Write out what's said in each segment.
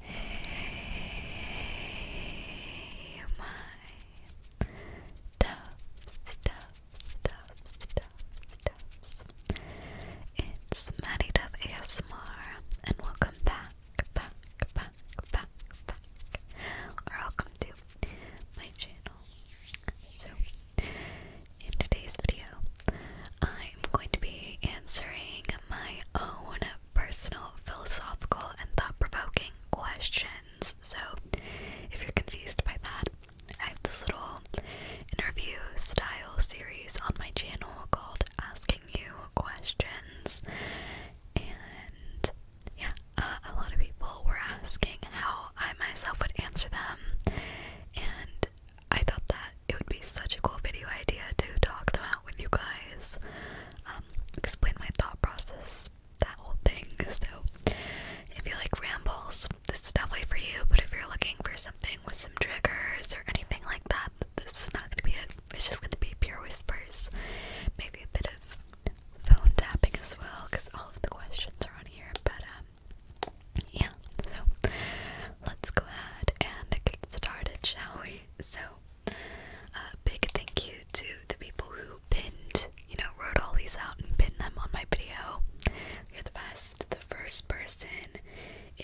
Hey, my doves, doves, doves, doves, doves. It's Maddie Dove ASMR, and welcome back, back, back, back, back, or welcome to my channel. So, in today's video, I'm going to be answering my own personal philosophical and thought provoking questions. So, if you're confused by that, I have this little interview style series on my channel called Asking You Questions. And yeah, uh, a lot of people were asking how I myself would answer them. And I thought that it would be such a cool video idea to talk them out with you guys, um, explain my thought process, that whole thing. So, if you like rambles, this is definitely for you, but if you're looking for something with some triggers or anything like that, this is not gonna be it. It's just gonna be pure whispers, maybe a bit of phone tapping as well, because all of the questions are on here, about um, uh, um, yeah, so let's go ahead and get started, shall we? So, a uh, big thank you to the people who pinned, you know, wrote all these out and pinned them on my video. You're the best. The first person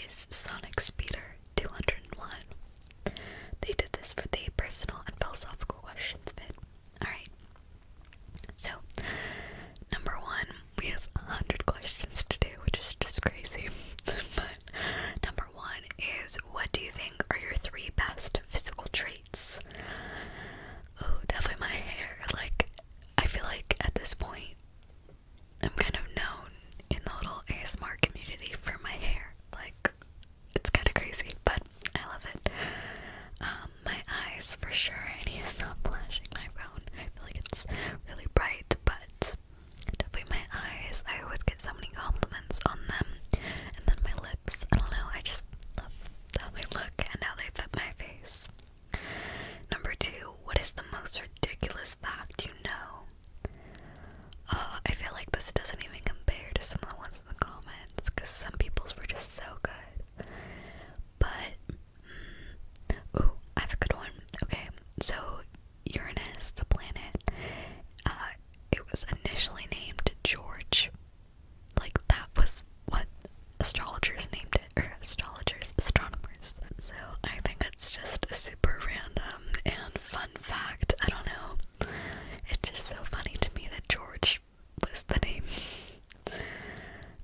is Sonic Speeder 201. They did this for the personal and philosophical questions bit. Alright, so, number one, we have a hundred questions today, which is just crazy. but number one is, what do you think are your three best physical traits? Oh, definitely my hair. Like, I feel like at this point, I'm kind of known in the little ASMR community for my hair. Like, it's kind of crazy, but I love it. Um, my eyes for sure, and he is not flashing my phone. I feel like it's really bright, but definitely my eyes. I always get so many compliments on them, and then my lips. I don't know. I just love how they look and how they fit my face. Number two, what is the most ridiculous fact you know? Uh, I feel like this doesn't even compare to some of the ones in the comments because some people's were just so good. But Ooh, I have a good one. Okay, so Uranus, the planet, uh, it was initially named George. Like, that was what astrologers named it, or astrologers, astronomers. So I think it's just super random and fun fact. I don't know. It's just so funny to me that George was the name.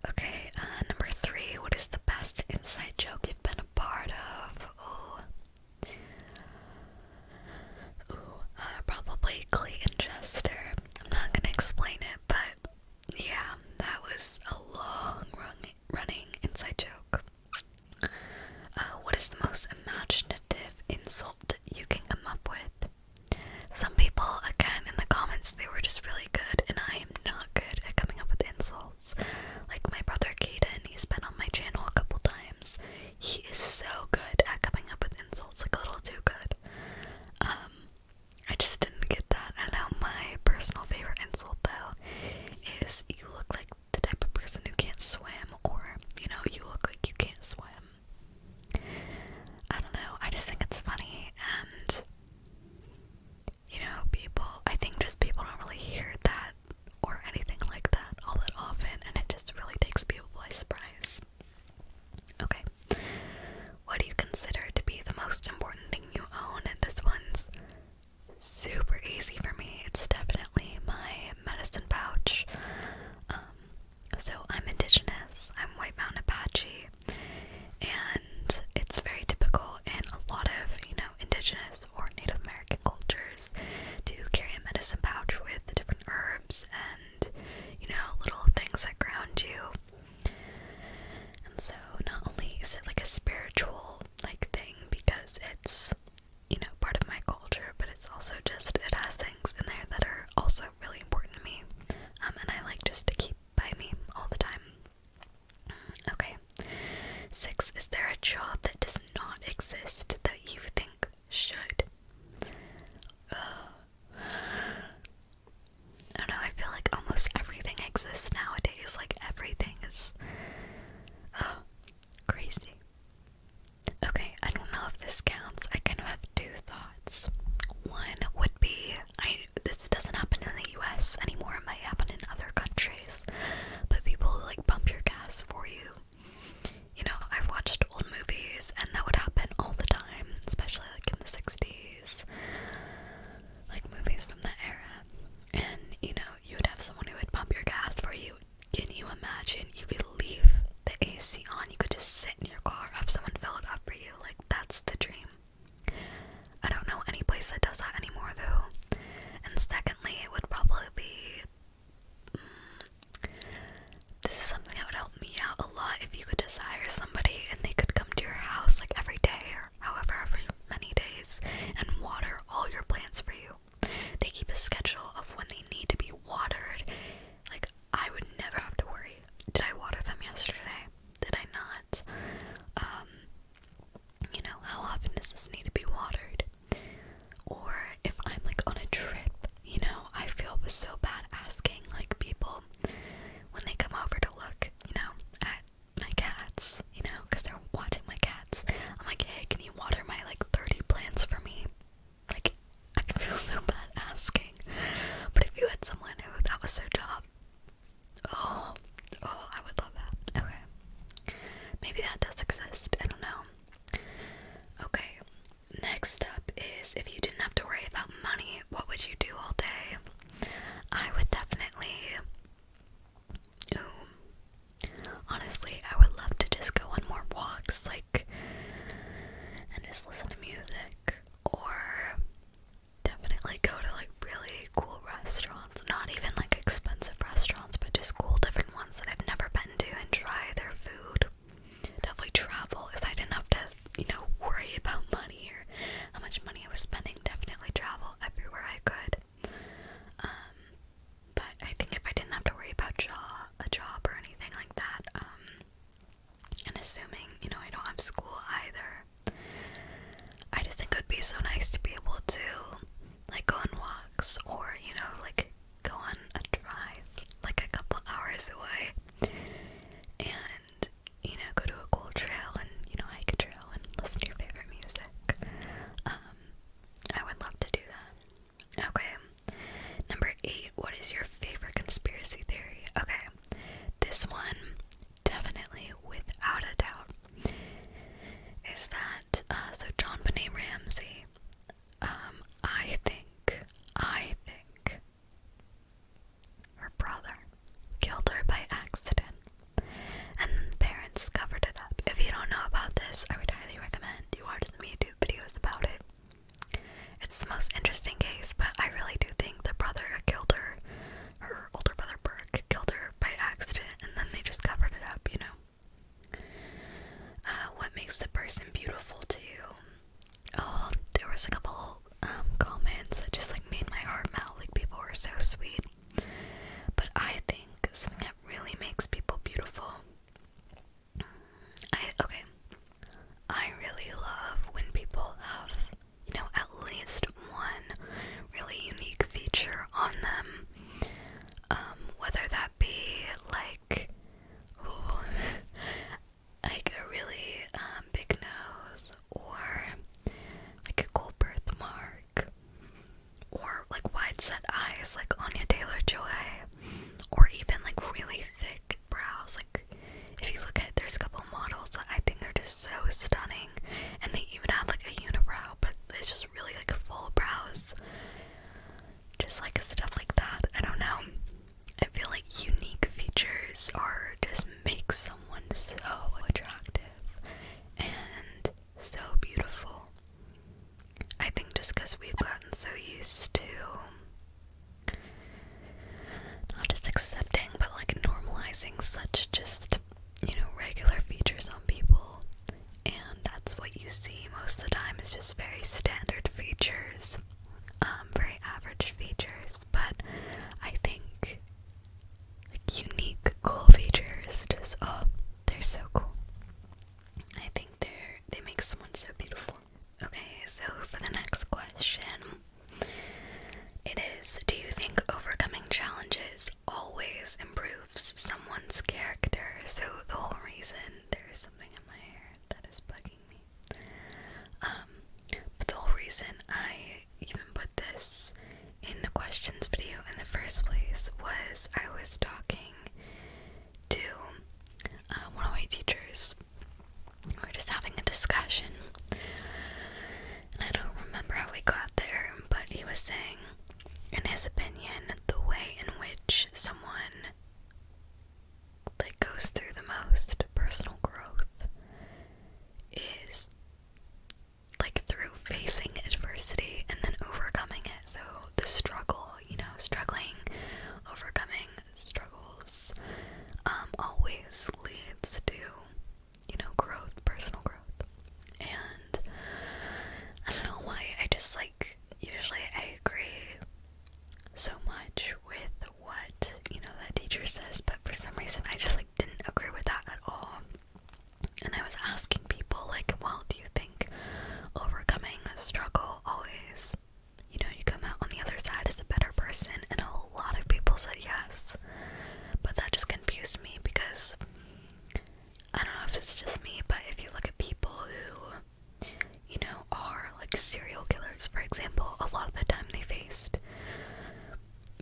Okay, uh, number three. What is the best inside joke you've been a part of? Ooh. Ooh, uh, probably Clayton Chester. I'm not gonna explain it, but yeah, that was a long run running inside joke. Uh, what is the most imaginative insult you can come up with? Some people, again, in the comments, they were just really good, and I i am not good at coming up with insults. Like my brother Kaden, he's been on my channel a couple times. He is so good at coming up with insults, like a little too good. Um, I just didn't get that. I know my personal favorite insult though is you look like the type of person who can't swim, or you know, you look like you can't swim. I don't know, I just think it's funny and you know, people, I think just people don't really hear that or anything like that all that often, and it just really takes people by surprise. Okay, what do you consider to be the most important thing you own? And this one's super easy for me. It's definitely my medicine pouch. Um, so I'm indigenous, I'm White Mountain Apache and it's very typical in a lot of you know indigenous or Native American cultures to carry a medicine pouch with the different herbs and you know little things that ground you. And so not only is it like a spiritual like thing because it's you know part of my culture, but it's also just it has things in there that are also really important to me, um, and I like just to keep by me all the time. Okay. Six, is there a job that does not exist that you think should? Uh, I don't know, I feel like almost everything exists nowadays. Like everything is uh, crazy. Okay, I don't know if this counts. I kind of have two thoughts. One would be I this doesn't happen in the US anymore, it might happen in other countries, but people like pump your gas for you. You know, I've watched old movies and that would happen all the time, especially like in the 60s, like movies from that era. And you know, you would have someone who would pump your gas for you. Can you imagine? You could leave the AC on, you could just sit in your car, have someone fill it up for you. Like, that's the dream. I don't know any place that does that anymore, though. And secondly, it would probably be. Mm, this is something that would help me out a lot if you could just hire somebody and they could come to your house like every day or however many days and water all your plants for you. They keep a schedule of when they need to be watered. Like I would never have to worry. Did I water them yesterday? did I not? Um, you know, how often does this need to be watered? Or if I'm like on a trip, you know, I feel so bad asking like people when they come over to look, you know, at my cats, you know, because they're watching my cats. I'm like, hey, can you water my like 30 plants for me? Like, I feel so bad asking. But if you had someone who that was so tough. Oh, oh, I would love that. Okay. Maybe that does exist. I don't know. Okay. Next up is if you didn't have to worry about money, what would you do all day? I would definitely. Honestly, I would love to just go on more walks, like, and just listen to music or definitely go to like really cool restaurants, not even like expensive restaurants, but just cool different ones that I've never been to and try their food. Definitely travel if I didn't have to, you know, worry about money or how much money I was spending. Definitely travel everywhere I could. Um, but I think if I didn't have to worry about job, a job or anything like that, um, and assuming you know I don't have school either, I just think it would be so nice to be able to like go on walks or, you know, like go on a drive like a couple hours away and, you know, go to a cool trail and, you know, hike a trail and listen to your favorite music. Um, I would love to do that. Okay. Number eight, what is your favorite conspiracy theory? Okay. This one definitely, without a doubt, is that uh, so John Benet Ramsey. Um, I think, I think her brother killed her by accident, and the parents covered it up. If you don't know about this, I would highly recommend you watch some YouTube videos about it. It's the most interesting case, but I really do think the brother killed her her older brother Burke killed her by accident and then they just covered it up, you know. Uh, what makes the person beautiful too? Oh, there was a couple um, comments that just like made my heart melt. Like people were so sweet. But I think something that really makes people beautiful. I okay. I really love when people have you know, at least one really unique feature on them. Um, whether that be like, like a really um, big nose, or like a cool birthmark, or like wide set eyes, like Anya Taylor Joy, or even like really thick brows, like if you look at there's a couple models that I think are just so stunning, and they even have like a unibrow, but it's just really like full brows. Just like stuff like that. I don't know. I feel like unique features are just make someone so attractive and so beautiful. I think just because we've gotten so used to not just accepting, but like normalizing such just, you know, regular features on people. And that's what you see most of the time is just very standard features, um, very average features. But I think like unique, cool features just, oh, they're so cool. I think they're, they make someone so beautiful. Okay, so for the next question, it is Do you think overcoming challenges always improves someone's character? So, the whole reason there's something in my hair that is bugging me. Um, but the whole reason I even put this in the questions video in the first place was I was talking to uh, one of my teachers. we're just having a discussion, I don't remember how we got there, but he was saying, in his opinion, the way in which someone that goes through the most personal growth is like through facing adversity and then overcoming it. So the struggle, you know, struggling, overcoming struggles um always leads to you know, growth, personal growth. And I don't know why, I just like, usually I agree so much with what, you know, that teacher says, but for some reason I just like didn't agree with that at all. And I was asking people, like, well, do you think overcoming a struggle always, you know, you come out on the other side as a better person? And a a lot of people said yes. But that just confused me because I don't know if it's just me, but if you look at people who, you know, are like serial killers, for example, a lot of the time they faced,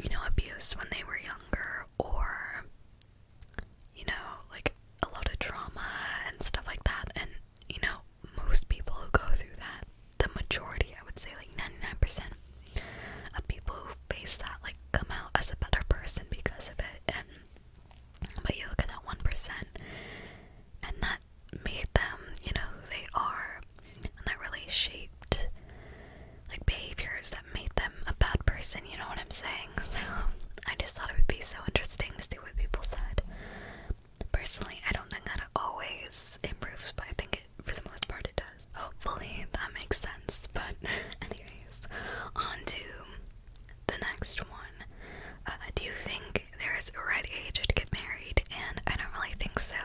you know, abuse when they were younger or, you know, like a lot of trauma and stuff like that. And, you know, most people who go through that the majority, I would say like 99% of people who face that like come out as a better person because of it. And but you look at that 1% and that made them, you know, who they are and that really shaped like behaviors that made them a bad person, you know what I'm saying? So I just thought it would be so interesting to see what people said. Personally, I don't think that it always improves, but I think for the most part it does. Hopefully that makes sense. But anyways, on to the next one. Uh, do you think there is a right age to get married? And I don't really think so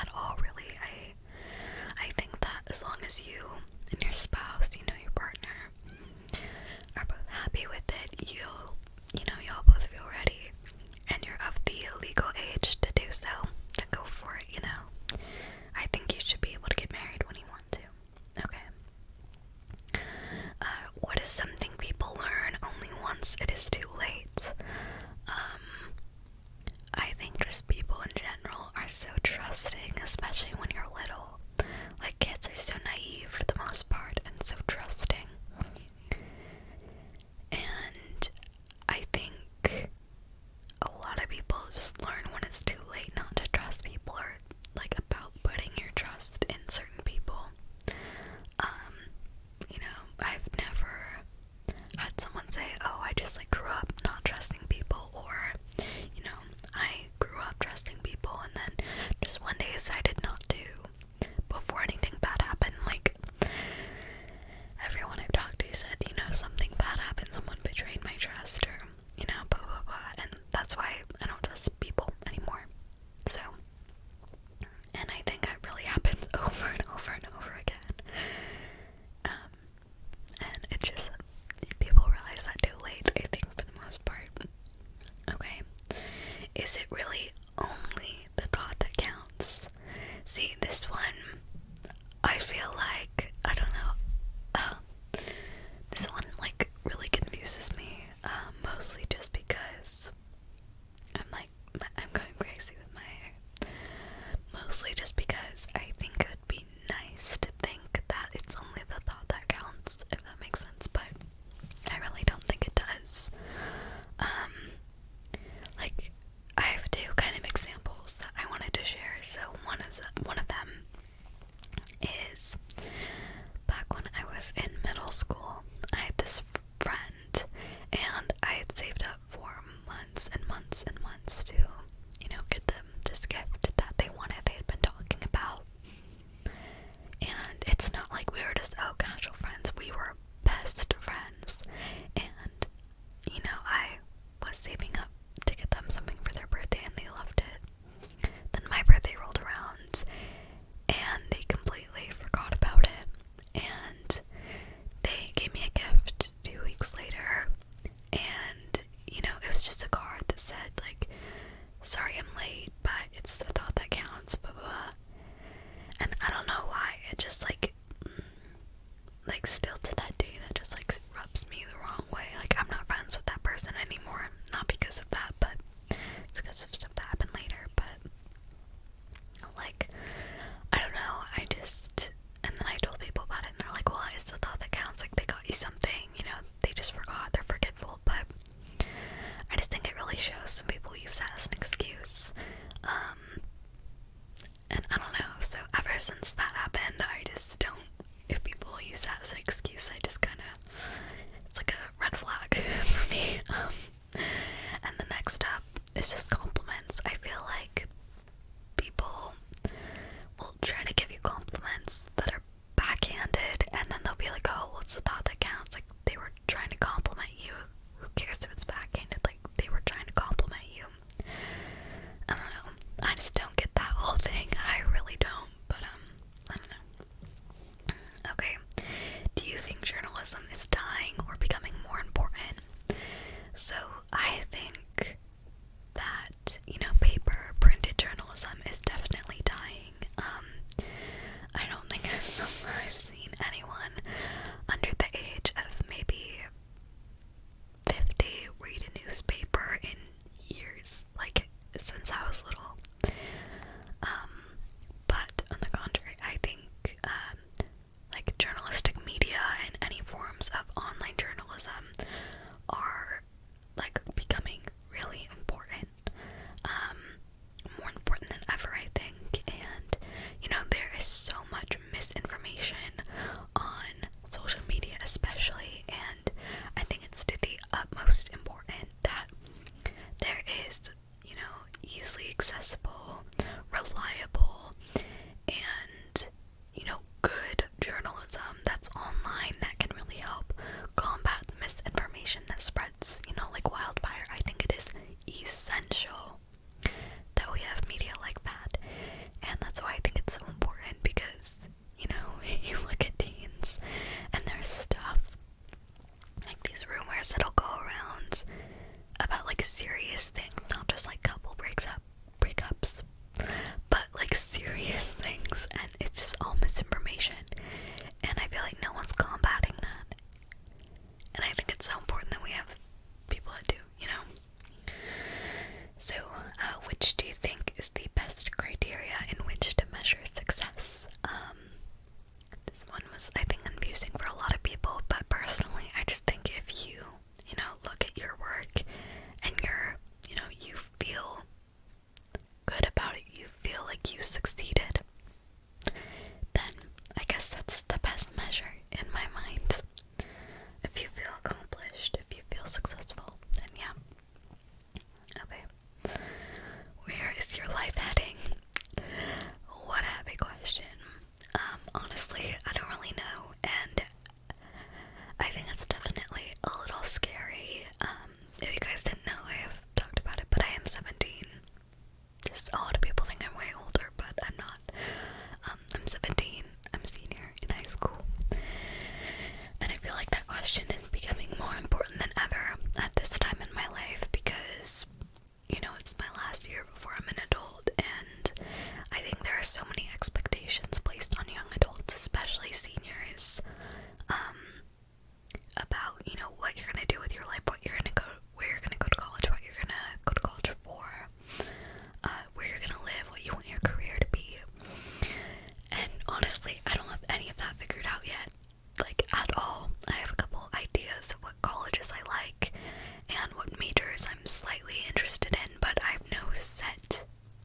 at all. Really, I I think that as long as you and your spouse, you know, your partner, are both happy with it, you you know, y'all both feel ready and you're of the legal age to do so, then go for it you know? I think you should be able to get married when you want to. Okay. Uh, what is something people learn only once it is too late? Um, I think just people in general are so trusting, especially when you're little. Like, kids are so naive for the most part and so trusting. And I think a lot of people just learn when it's too late not to trust people or like about putting your trust in certain people. Um, you know, I've never had someone say, "Oh, I just like grew up not trusting people," or you know, I grew up trusting people and then just one day decided not to before anything bad happened. Like everyone I've talked to said, you know, something bad happened, someone betrayed my trust, or, you know, blah, blah, blah. And that's why I don't trust people anymore. So, and I think that really happens over and over and over again. Um, and it just, people realize that too late, I think, for the most part. Okay. Is it really only the thought that counts? See, this one, I feel like, I don't know, oh, this one, like, really confuses me, uh, mostly just because I'm, like, I'm going crazy with my hair. Mostly just because I think it would be nice to think that it's only the thought that counts, if that makes sense, but I really don't think it does. Um, like, I have two kind of examples that I wanted to share. So one of one of them is back when I was in middle school. I had this friend, and I had saved up for months and months and months to, you know, get them this gift that they wanted. They had been talking about, and it's not like we were just oh casual friends. We were best friends, and you know, I was saving up to get them something for their birthday and they loved it. Then my birthday rolled around and they completely forgot about it. And they gave me a gift two weeks later. And, you know, it was just a card that said, like, sorry I'm late, but it's the thought that counts, blah, blah, blah. And I don't know why, it just, like, like still to that day that just like rubs me the wrong way. Like I'm not friends with that person anymore. Not because of that, but it's because of stuff that happened later. But like I don't know, I just and then I told people about it and they're like, Well, it's the thought that counts, like they got you something, you know, they just forgot, they're forgetful, but I just think it really shows some people use that as an excuse. Um, and I don't know, so ever since that happened, I just don't. If people use that as an excuse, I just kind of. It's like a red flag for me. Um, and the next up is just compliments. I feel like people will try to give you compliments that are backhanded, and then they'll be like, oh, what's the thought that counts. Like, they were trying to compliment you. Who cares if it's backhanded? Like, they were trying to compliment you. I don't know. I just don't get that whole thing. I really don't. But um, I don't know. Okay. Do you think journalism is dying or becoming more important? So I think that you know paper printed journalism is definitely dying. Um, I don't think I've seen anyone under the age of maybe 50 read a newspaper in years, like since I was little. Um, but on the contrary, I think um, like journalistic media and any forms of online journalism are like becoming really important. Um, more important than ever, I think. And you know, there is so much misinformation on social media, especially. And I think it's to the utmost important that there is, you know, easily accessible, reliable, and, you know, good journalism that's online that can really help combat misinformation that spreads, you know, like wildfire. I think it is essential that we have media like that. And that's why I think it's so important because, you know, you look at teens and there's stuff like these rumors that'll go around about like serious things, not just like couple breaks up breakups, but like serious things and it's just all misinformation. And I feel like no one's combating that. And I think it's so important that we have people that do, you know? So, uh, which do you think is the best criteria in which to measure success? Um, this one was, I think, confusing for a lot of people, but personally, I just think if you, you know, look at your work and you're, you know, you feel good about it, you feel like you succeeded, then I guess that's the best measure in my mind if you feel accomplished, if you feel successful, then yeah. Okay. Where is your life heading? What a happy question. Um, honestly, I don't really know, and I think it's definitely a little scary. Um, if you guys didn't know, I have talked about it, but I am 17. a lot of people think I'm way older, but I'm not. Um, I'm 17, I'm senior in high school. And I feel like that question is becoming more important than ever at this time in my life because, you know, it's my last year before I'm an adult, and I think there are so many expectations placed on young adults, especially seniors, um, about, you know, what you're gonna do with your life, what you're gonna go, where you're gonna go to college, what you're gonna go to college for, uh, where you're gonna live, what you want your career to be. And honestly, I don't have any of that figured out yet, like at all. I have a couple ideas of what colleges I like and what majors I'm slightly interested in, but I have no set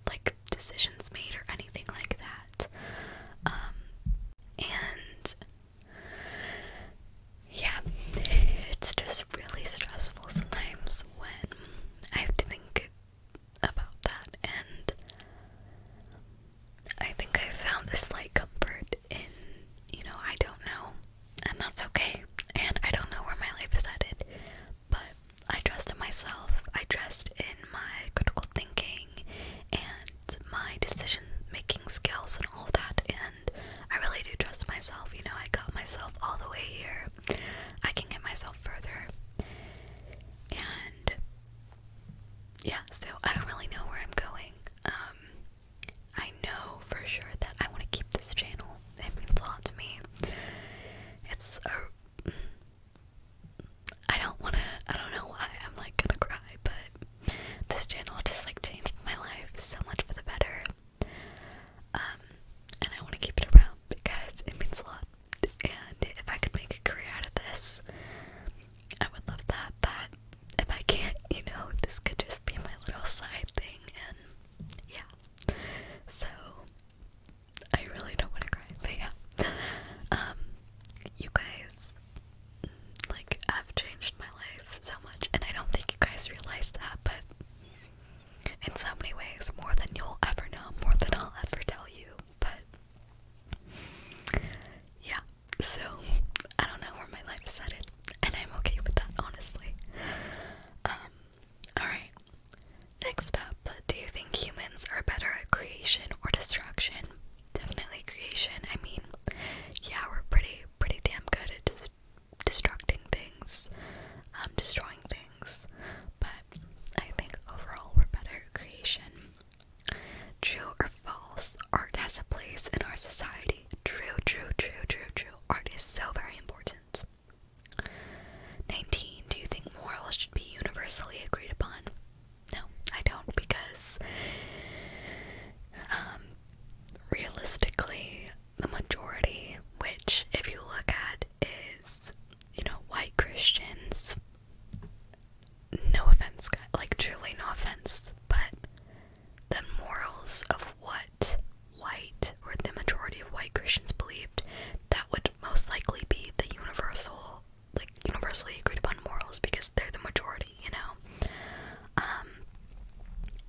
like decisions made or anything like that. Um, and yeah, it's just really stressful sometimes when I have to think about that, and I think I found a slight comfort in, you know, I don't know, and that's okay, and I don't know where my life is headed, but I trust in myself, I trust in my critical thinking and my decision making skills and all that, and. I really do trust myself. You know, I got myself all the way here. I can get myself further. And yeah, so I don't really know where I'm going. Um I know for sure that I want to keep this channel. It means a lot to me. It's a I don't want to I don't know why I'm like going to cry, but this channel just like changed my life so much for the better. Um, and I want to keep it around because it means a lot. And if I could make a career out of this, I would love that. But if I can't, you know, this could just be my little side thing. And yeah, so I really don't want to cry. But yeah, um, you guys like have changed my life so much, and I don't think you guys realize that, but in so many ways, more than you'll ever know, more than I'll ever tell you. But yeah, so I don't know where my life is headed, and I'm okay with that, honestly. Um, alright, next up, do you think humans are better at creation or destruction? Definitely creation. I mean, yeah, we're pretty, pretty damn good at des destructing things, um, destroying things, but I think overall we're better creation. True or false, art has a place in our society. True, true, true, true, true. Art is so very important. 19. Do you think morals should be universally agreed upon? No, I don't because um, realistically the majority, which, if you look at, is, you know, white Christians. No offense, like, truly no offense, but the morals of what white or the majority of white Christians believed, that would most likely be the universal, like, universally agreed upon morals because they're the majority, you know? Um,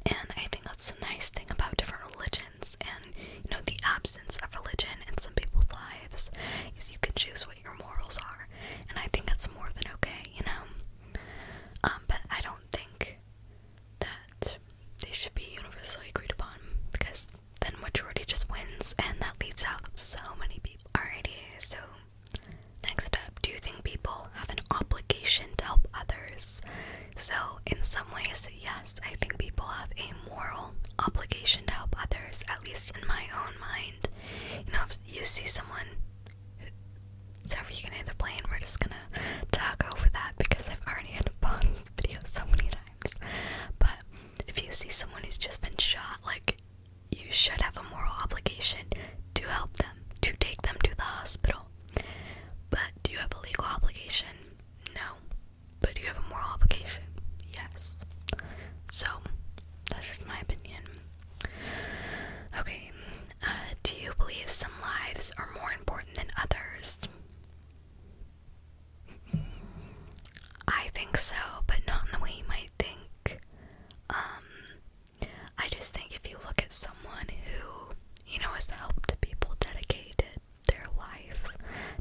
and I think that's the nice thing about different religions and you know the absence of religion in some people's lives is you can choose what your morals are and I think that's more than okay you know um, but I don't think that they should be universally agreed upon because then majority just wins and that leaves out so many people alrighty so next up do you think people have an obligation to help others so, in some ways, yes, I think people have a moral obligation to help others, at least in my own mind. You know, if you see someone, sorry if you can hear the plane, we're just gonna talk over that because I've already had to pause this video so many times. But if you see someone who's just been shot, like, you should have a moral obligation to help them, to take them to the hospital. But do you have a legal obligation? No. But do you have a moral obligation? Yes. So, that's just my opinion. Okay, uh, do you believe some lives are more important than others? I think so, but not in the way you might think. Um, I just think if you look at someone who, you know, has helped people, dedicated, their life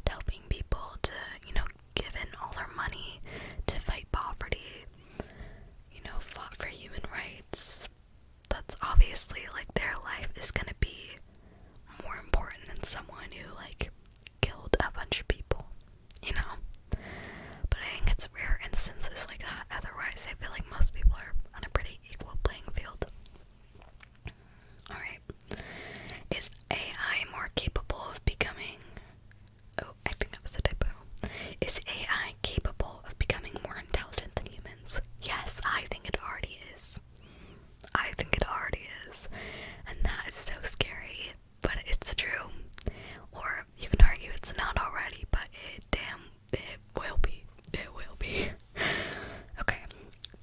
helping people to, you know, give in all their money to fight poverty, you know, fought for human rights. That's obviously like their life is gonna be more important than someone who like killed a bunch of people, you know. But I think it's rare instances like that. Otherwise, I feel like most people are on a pretty equal playing field. Alright. Is AI more capable of becoming. Oh, I think that was a typo. Is AI capable of becoming more intelligent than humans? Yes, I think it already is. I think it already is. And that is so scary, but it's true. Or you can argue it's not already, but it damn it will be. It will be. okay.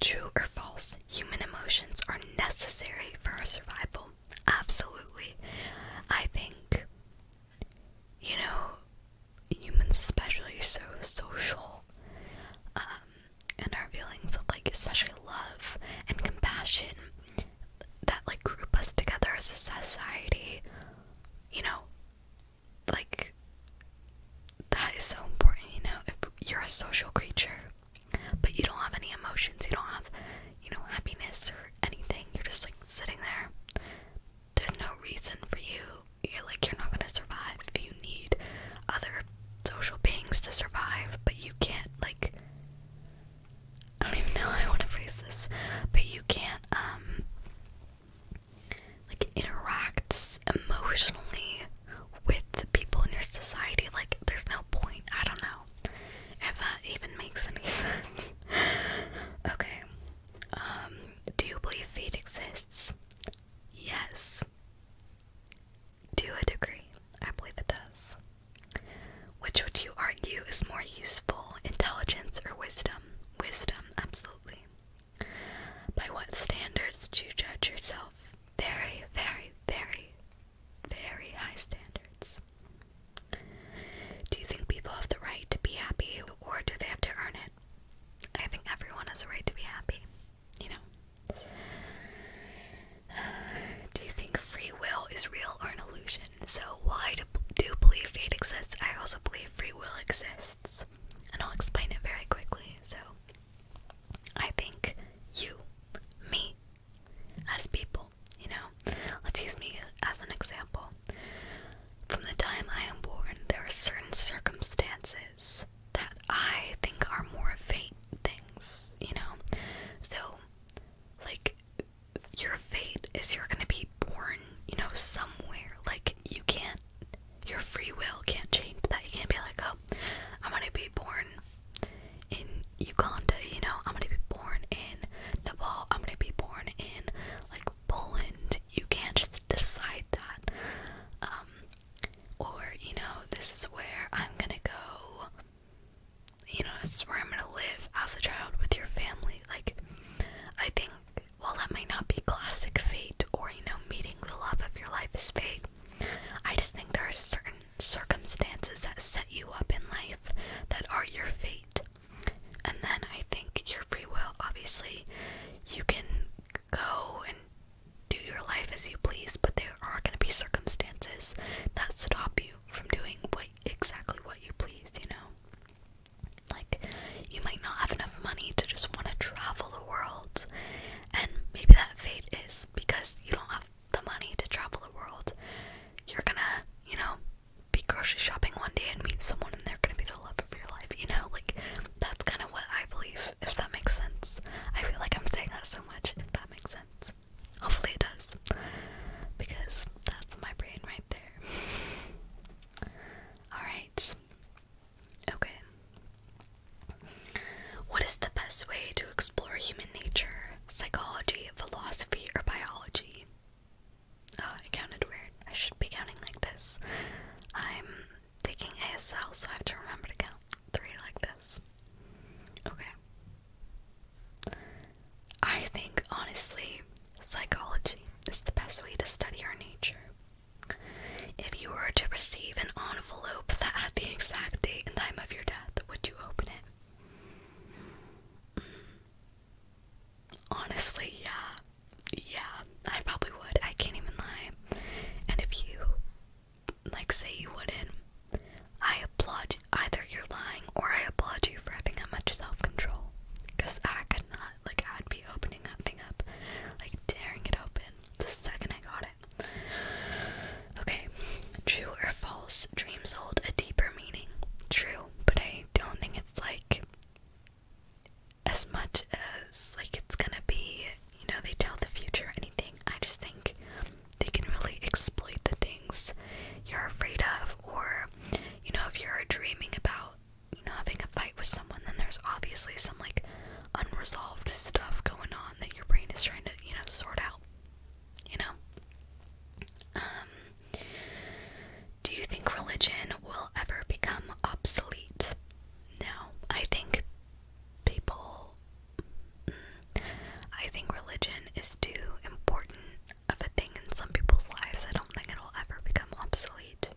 True or false? Human emotions are necessary for our survival. Absolutely. I think, you know, humans, especially, so social. Um, and our feelings of, like, especially love and compassion that, like, group us together as a society, you know, like that is so important, you know, if you're a social creature, but you don't have any emotions, you don't have, you know, happiness or anything, you're just like sitting there. There's no reason for you. You're like you're not gonna survive. You need other social beings to survive, but you can't like I don't even know how I want to phrase this, but you can't um like interacts emotionally with the people in your society. Like there's no point. I don't know if that even makes any sense. okay. Um, do you believe fate exists? Yes. To a degree, I believe it does. Which would you argue is more useful, intelligence or wisdom? Wisdom, absolutely. By what standards do you judge yourself? Very, very, very, very high standards. Do you think people have the right to be happy or do they have to earn it? I think everyone has a right to be happy, you know. do you think free will is real or an illusion? So, while I do believe fate exists, I also believe free will exists. And I'll explain it very quickly. So, I think you, me, as people, you know, let's use me as an example. From the time I am born, there are certain circumstances that I think are more fate things, you know? So, like, your fate is you're gonna be born, you know, somewhere. Like, you can't your free will can't change that. You can't be like, oh, I'm gonna be born in Uganda, you know, I'm gonna be born in Nepal, I'm gonna be born in like Poland. You can't just decide that. Um, or, you know, this is where I'm gonna go, you know, this is where I'm gonna live as a child with your family. Like, I think while that might not be classic fate or, you know, meeting the love of your life is fate, I just think there are certain circumstances that set you up in life that are your fate. And then I think your free will, obviously, you can go and do your life as you please, but there are going to be circumstances that stop you from doing what exactly what you please, you know? Like, you might not have enough money to just want to travel world. And maybe that fate is because you don't have the money to travel the world. You're gonna, you know, be grocery shopping one day and meet someone and they're gonna be the love of your life, you know? Like, that's kind of what I believe, if that makes sense. I feel like I'm saying that so much, if that makes sense. Hopefully it does. Because that's my brain right there. Alright. Okay. What is the best way to explore human nature? Psychology, philosophy, or biology? Oh, I counted weird. I should be counting like this. I'm taking ASL, so I have to remember to count three like this. Okay. I think, honestly, psychology is the best way to study our nature. If you were to receive an envelope that had the exact date and time of your death, would you open it? Mm. Honestly, yeah. Yeah, I probably would. I can't even lie. And if you, like, say you wouldn't, I applaud either you're lying or I applaud you for having that much self control. Because I could not, like, I'd be opening that thing up, like, tearing it open the second I got it. Okay, true or false? Dreams hold a deeper meaning. True, but I don't think it's like as much as like it's gonna be, you know, they tell the future or anything. I just think they can really exploit the things you're afraid of, or you know, if you're dreaming about you know, having a fight with someone, then there's obviously some like unresolved stuff going on that your brain is trying to, you know, sort out. You know? Um, do you think religion will ever become obsolete? No. I think people. Mm, I think religion is too important of a thing in some people's lives. I don't think it'll ever become obsolete.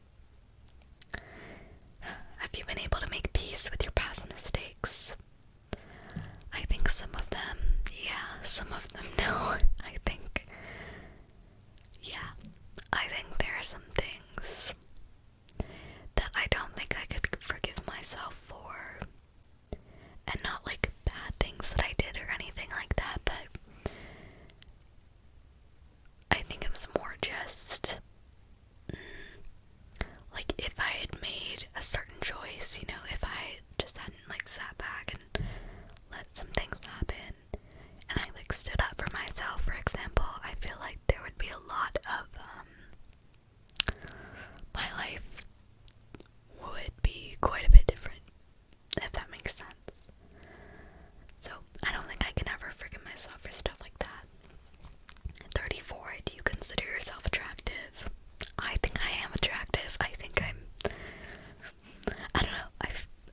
Have you been able to make peace with your past mistakes? I think some of them, yeah, some of them, no. I think, yeah, I think there are some things that I don't think I could forgive myself for. And not like bad things that I did or anything like that, but I think it was more just mm, like if I had made a certain choice, you know, if I just hadn't like sat back and let some things happen and I like stood up for myself, for example, I feel like there would be a lot of um my life would be quite a bit different if that makes sense. So I don't think I can ever forgive myself for stuff like that. 34. Do you consider yourself attractive? I think I am attractive. I think I'm. I don't know. I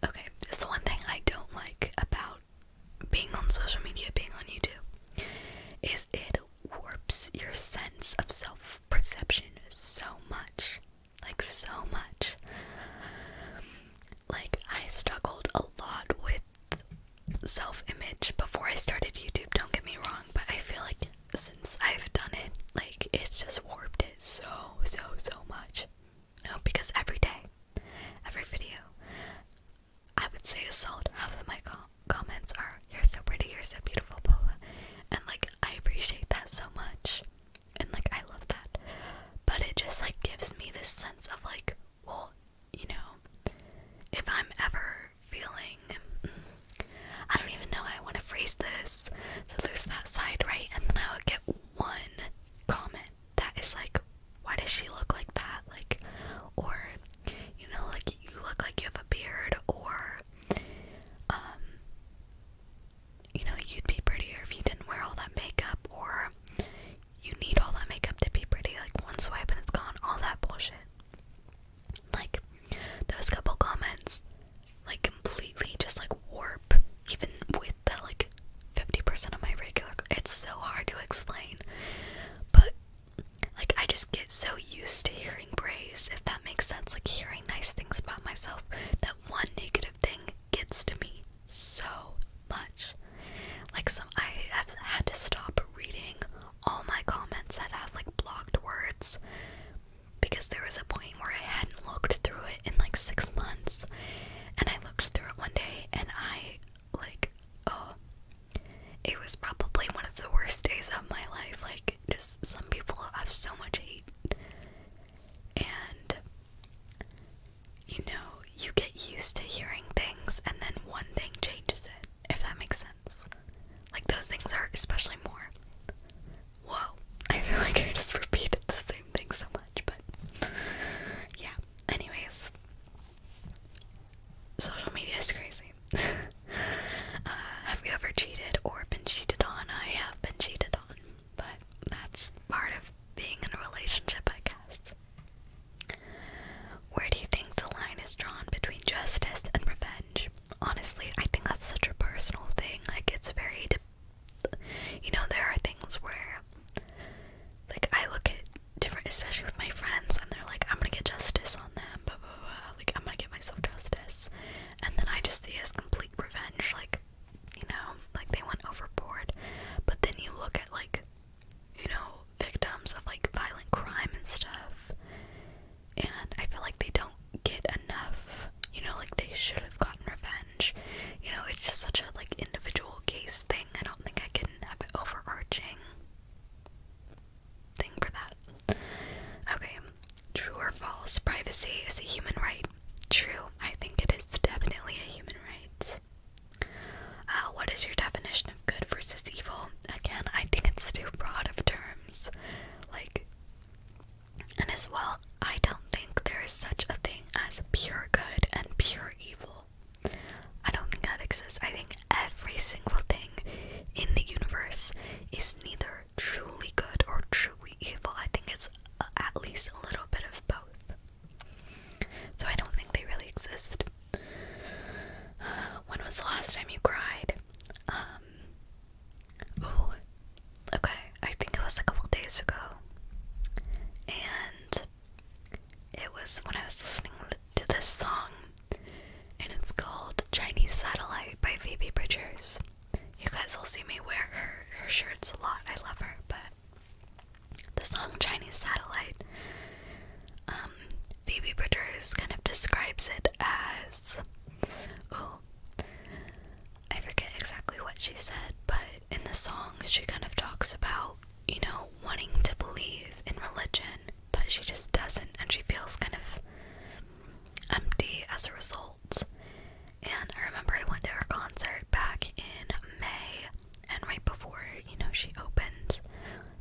okay. It's the one thing I don't like about being on social media, being on YouTube, is it warps your sense of self perception so much. Like so much. Like I struggled a lot with self image before I started YouTube, don't get me wrong, but I feel like since I've done it, like it's just warped it so, so, so much. You because every day, every video, I would say a solid half of my com comments are, You're so pretty, you're so beautiful, Paula. And like, I appreciate that so much. And like, I love that. But it just like gives me this sense of like, well, you know, if I'm ever feeling, I don't even know how I want to phrase this, to lose that side, right? And then I would get one comment that is like, why does she look like that? Like, or, you know, like you look like you have a beard, or, um, you know, you'd be prettier if you didn't wear all that makeup, or, you need all that makeup to be pretty. Like, one swipe and it's gone. All that bullshit. Like, those couple comments, like, completely just, like, warp, even with the, like, 50% of my regular. It's so hard to explain. But, like, I just get so used to hearing praise, if that makes sense. Like, hearing nice things about myself, that one negative thing gets to me so much. Like some I have had to stop reading all my comments that have like blocked words because there was a point where I hadn't looked through it in like 6 months and I looked through it one day and I like oh it was probably one of the worst days of my life like just some people have so much hate and you know, you get used to hearing things and then one thing changes it, if that makes sense. Like, those things are especially more. Whoa, I feel like I just repeated the same thing so much, but yeah. Anyways, social media is crazy. Uh, have you ever cheated or been cheated on? I have been cheated on, but that's part of being in a relationship, I guess. Where do you think the line is drawn between justice and revenge? Honestly, I think that's such a personal thing. Like, it's very. You know, there are things where. Like, I look at different. Especially with my friends, and they're like, I'm gonna get justice on them, blah, blah, blah. Like, I'm gonna get myself justice. And then I just see it as complete revenge. Like, you know, like they went overboard. But then you look at, like, you know, victims of like violent crime and stuff. And I feel like they don't get enough, you know, like they should have gotten revenge. You know, it's just such a like individual case thing. I don't think I can have an overarching thing for that. Okay, true or false? Privacy is a human right. True, I think it is definitely a human right. Uh, what is your definition of good versus evil? Again, I think it's too broad of terms. Like, and as well, I don't think there is such a thing as pure good and pure evil. I don't think that exists. I think every single thing in the universe is neither truly good or truly evil. I think it's at least a little bit of both. So I don't think they really exist. Uh, when was the last time you cried? oh, okay. I think it was a couple days ago. And it was when I was listening to this song. And it's called Chinese Satellite by Phoebe Bridgers. You guys will see me wear her shirts a lot. I love her, but the song Chinese Satellite, um, Phoebe Bridgers kind of describes it as oh, I forget exactly what she said, but in the song she kind of talks about, you know, wanting to believe in religion, but she just doesn't, and she feels kind of empty as a result. And I remember I went to her concert back in May and right before you know she opened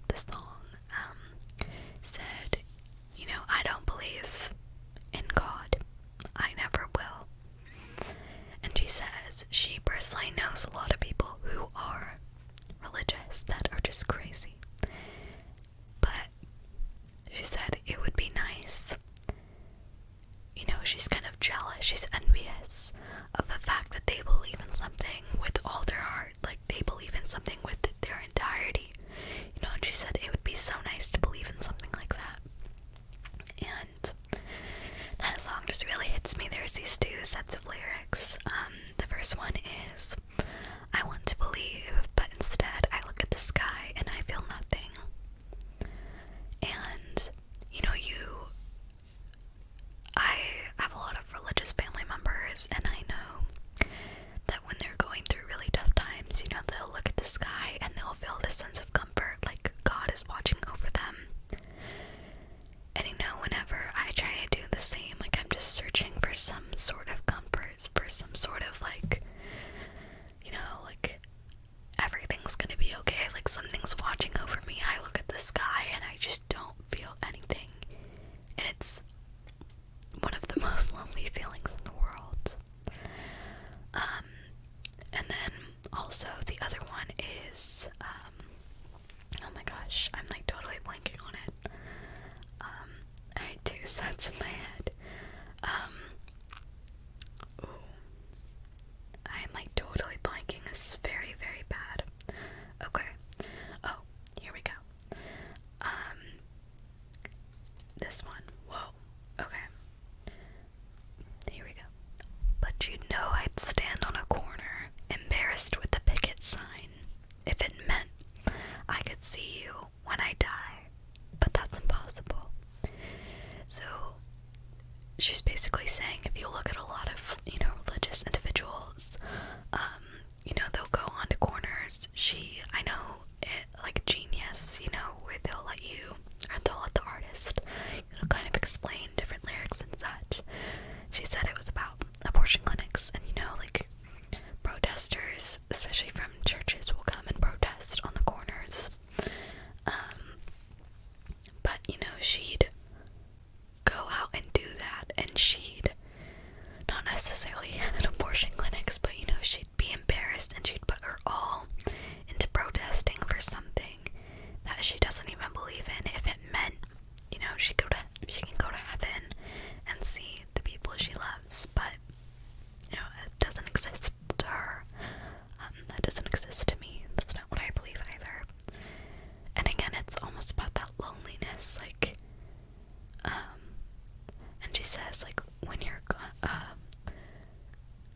the song um said you know i don't believe in god i never will and she says she personally knows a lot of people who are religious that are just crazy but she said it would be nice you know she's kind of jealous she's envious of the fact that they believe in something with all their heart. Like they believe in something with their entirety. You know, and she said it would be so nice to believe in something like that. And that song just really hits me. There's these two sets of lyrics. Um, the first one is I want to believe, but instead I look at the sky and I feel nothing. And you know, you I have a lot of religious family members, and I know that when they're going through really tough times, you know, they'll look at the sky and they'll feel this sense of comfort, like God is watching over them. And you know, whenever I try to do the same, like I'm just searching for some sort of comfort, for some sort of like, you know, like everything's gonna be okay, like something's watching over me. I look at the sky and I just don't feel anything. And it's one of the most lonely feelings in the world. Um, and then also the other one is, um, oh my gosh, I'm like totally blanking on it. Um, I had two sets in my head. I'm like totally blanking. This is very, very bad. Okay. Oh, here we go. Um this one. Whoa. Okay. Here we go. But you know I'd stand on a corner, embarrassed with the picket sign, if it meant I could see you when I die. But that's impossible. So she's basically saying if you look at a lot of you know religious individuals, um, you know they'll go onto corners. She, I know, it, like genius, you know, where they'll let you or they'll let the artist, you know, kind of explain different lyrics and such. She said it was about abortion clinics, and you know, like protesters, especially from churches, will come and protest on the corners. Um, but you know, she'd go out and do that and she'd not necessarily at abortion clinics but you know she'd be embarrassed and she'd put her all into protesting for something that she doesn't even believe in if it meant you know she go to she can go to heaven and see the people she loves but you know it doesn't exist to her um, that doesn't exist to me that's not what I believe either and again, it's almost about that loneliness, like, um, and she says, like, when you're gone, um,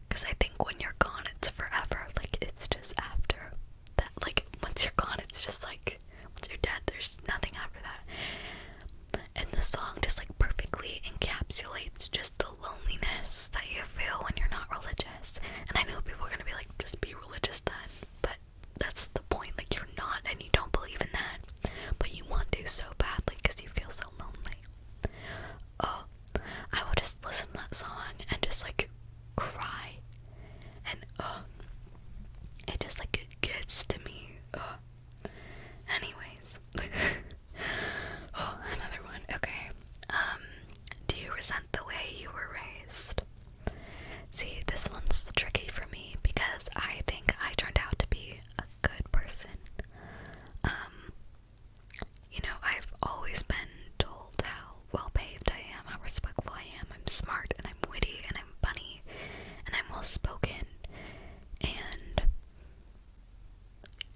because I think when you're gone, it's forever, like, it's just after that, like, once you're gone, it's just like, once you're dead, there's nothing after that. And the song just, like, perfectly encapsulates just the loneliness that you feel when you're not religious. And I know people are gonna be like, just be religious then. But that's the point. Like, you're not, and you don't believe in that. But you want to so badly because you feel so lonely. Oh, I will just listen to that song and just like cry. And oh, it just like gets to me. Oh. Anyways, oh, another one. Okay. Um, do you resent the way you were raised? See, this one's tricky for me because I think I turned out to be a good person. Um, you know, I've always been told how well behaved I am, how respectful I am. I'm smart and I'm witty and I'm funny and I'm well spoken and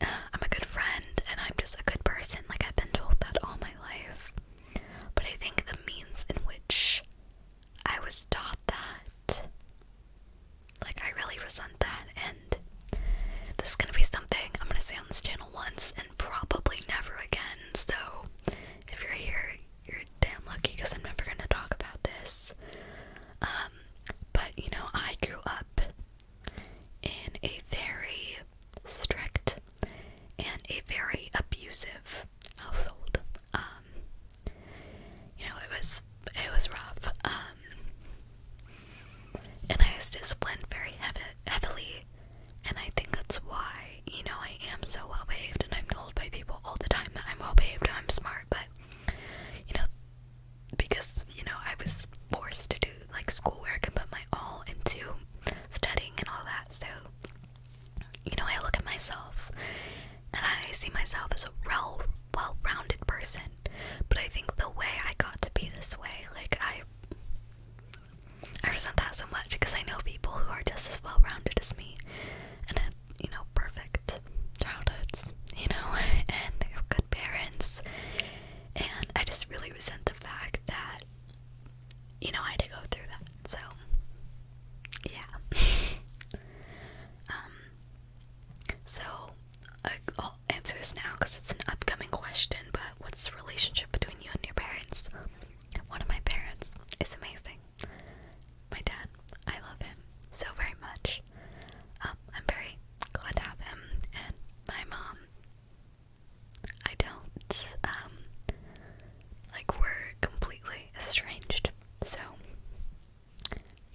uh, I'm a good friend and I'm just a good person. Like, I've been told that all my life. But I think the means in which I was taught that, like, I really resent that. And this is gonna be something I'm gonna say on this channel once and probably never again. So if you're here, you're damn lucky because I'm never gonna talk about this. Um, but you know, I grew up in a very strict, and a very abusive household. Um, you know, it was it was rough. Um, and I was disciplined very heavily, and I think that's why you know I am so well behaved, and I'm told by people all the time that I'm well behaved, I'm smart, but you know, because you know I was forced to do like schoolwork and put my all into studying and all that, so you know, I look at myself and I see myself as a well well rounded person. But I think the way I got to be this way, like I I resent that so much because I know people who are just as well rounded as me and had, uh, you know, perfect childhoods, you know, and they have good parents. And I just really resent the fact that you know, I had to go through that. So, yeah. um, so, I'll answer this now because it's an upcoming question, but what's the relationship between you and your parents? One of my parents is amazing. My dad, I love him so very much. Um, I'm very glad to have him, and my mom I don't um like we're completely estranged. So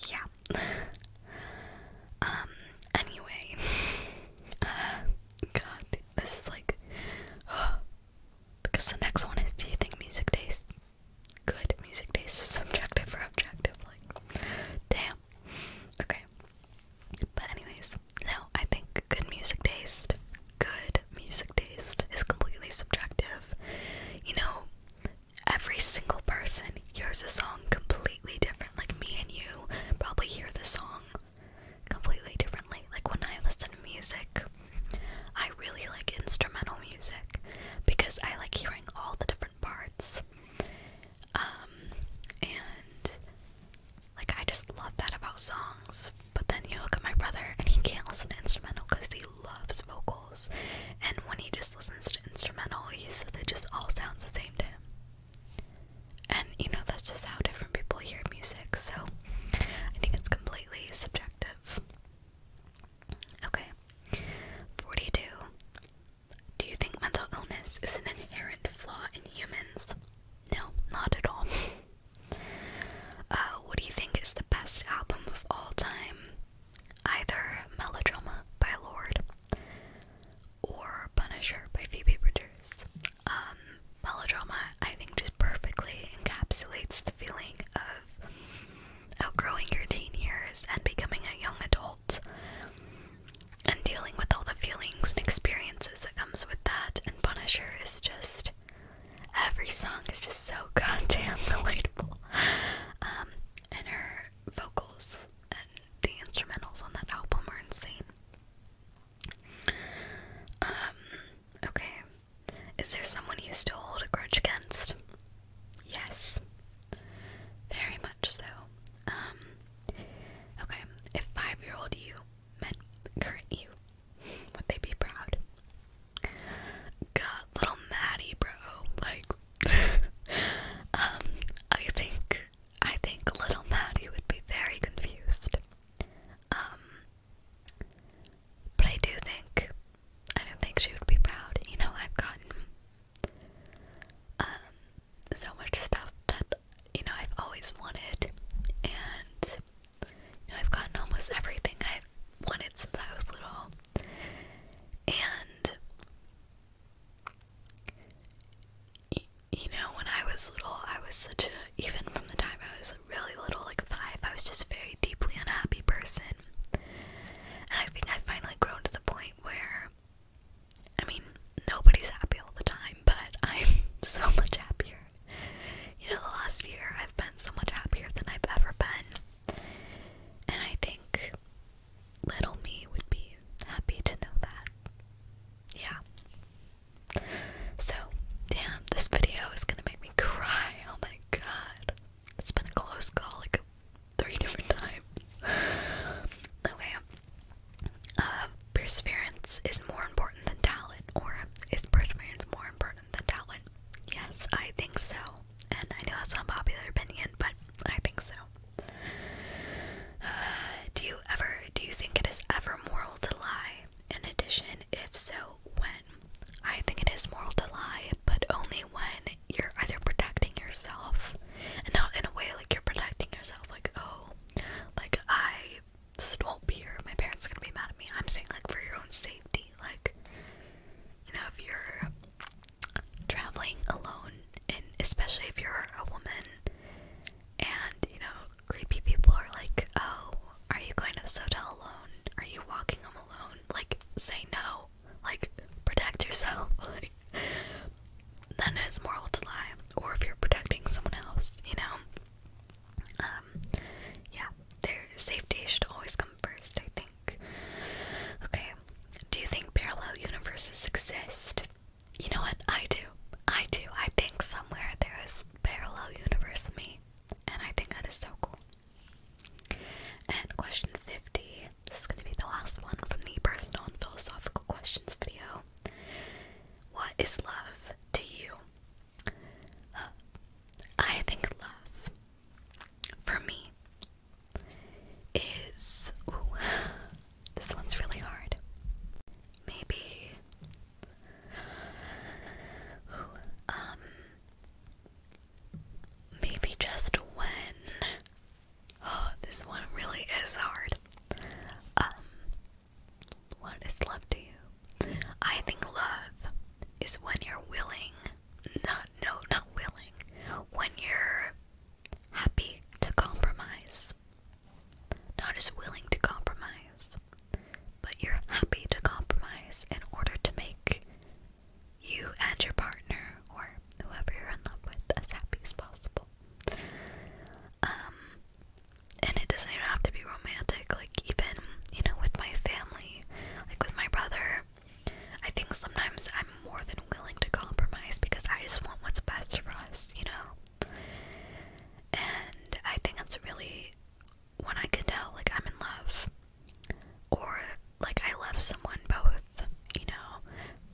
yeah. um anyway. uh, God, this is like because the next one is do you think music tastes good? Music tastes subjective or objective like damn. Okay. But anyways, now, I think good music taste, good music taste is completely subjective. You know, every single person hears a song completely different. Like me and you probably hear the song completely differently. Like when I listen to music, I really like instrumental music because I like hearing all the different parts. Um, and like, I just love that about songs. But then you look at my brother, and he can't listen to instrumental because he loves vocals. And when he just listens to instrumental, he says it just all sounds the same to him. And, you know, that's just how different people hear music. So I think it's completely subjective. Okay. 42. Do you think mental illness is an inherent flaw in humans? No, not at all. Uh, what do you think is the best album of all time? Either Melodrama by Lord or Punisher by Phoebe Bridgers. Um, melodrama, I think, just perfectly encapsulates the feeling of outgrowing your teen years and becoming a young adult and dealing with all the feelings and experiences that comes with that. And Punisher is just Every song is just so goddamn delightful. Um, and her vocals and the instrumentals on that album are insane. Um, okay. Is there someone you still hold a grudge against? Yes. Very much so. Um, okay. If five year old you met current you would they be proud? God, little Maddie, bro. Like, um, I think, I think little Maddie would be very confused. Um, but I do think, I don't think she would be proud. You know, I've gotten, um, so much stuff that you know, I've always wanted, and you know, I've gotten almost everything I've wanted since I was little, and you know, when I was little, I was such a even from the time I was really little, like five, I was just a very deeply unhappy person, and I think I've finally grown to the point where. I mean, nobody's happy all the time, but I'm so much happier. You know, the last year I've been so much happier than I've ever been. And I think little me would be happy to know that. Yeah. So, damn, this video is gonna make me cry. Oh my god. It's been a close call like three different times. okay. Um, Perseverance is more important than talent, or is perseverance more important than talent? Yes, I think so. And I know that's not popular opinion, but I think so. do you ever do you think it is ever moral to lie? In addition, if so, when? I think it is moral to lie, but only when you're either protecting yourself and not in a way like you're protecting yourself, like, oh, like I stop here. My parents are gonna be mad at me. I'm saying like for your own safety, like you know, if you're traveling alone and especially if you're a woman and you know, creepy people are like, Oh, are you going to this hotel alone? Are you walking home alone? Like, say no. Like, protect yourself. then it's moral to lie. Or if you're protecting someone else, you know? Um, yeah, their safety should always come first, I think. Okay, do you think parallel universes exist? You know what? I do. I do. I think somewhere there is parallel universe me, and I think that is so cool. And question 50. This is going to be the last one from the personal and philosophical questions video. What is love to you? I think love for me is this one's really hard. Maybe um maybe just when oh, this one really is hard. Um what is love to you? I think love is when you're willing, not, no, not willing, when you're happy to compromise. Not as willing to compromise, but you're happy to compromise in order to make you and your partner or whoever you're in love with as happy as possible. Um, and it doesn't even have to be romantic like even you know with my family like with my brother i think sometimes i'm more than willing to compromise because i just want what's best for us you know and i think that's really when i can tell like i'm in love or like i love someone both you know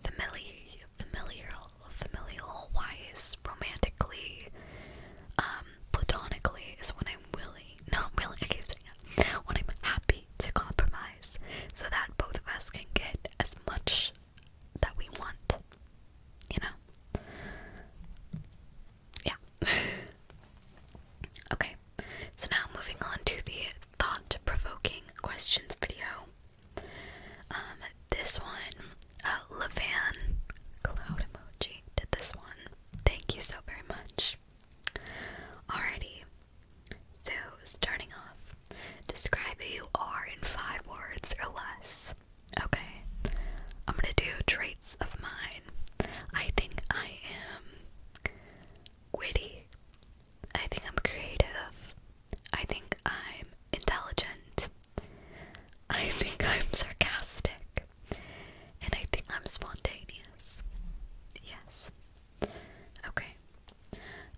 familiar familial familial wise romantically um platonically is when I'm willing, not willing, I keep saying that, when I'm happy to compromise so that both of us can get as much that we want, you know? Yeah. okay, so now moving on to the thought provoking questions video. Um, this one Levan Cloud Emoji did this one. Thank you so very much. Alrighty. So, starting off, describe who you are in five words or less. Okay, I'm gonna do traits of mine. I think I am witty. I think I'm creative. I think I'm intelligent. I think I'm sarcastic. And I think I'm spontaneous. Yes. Okay.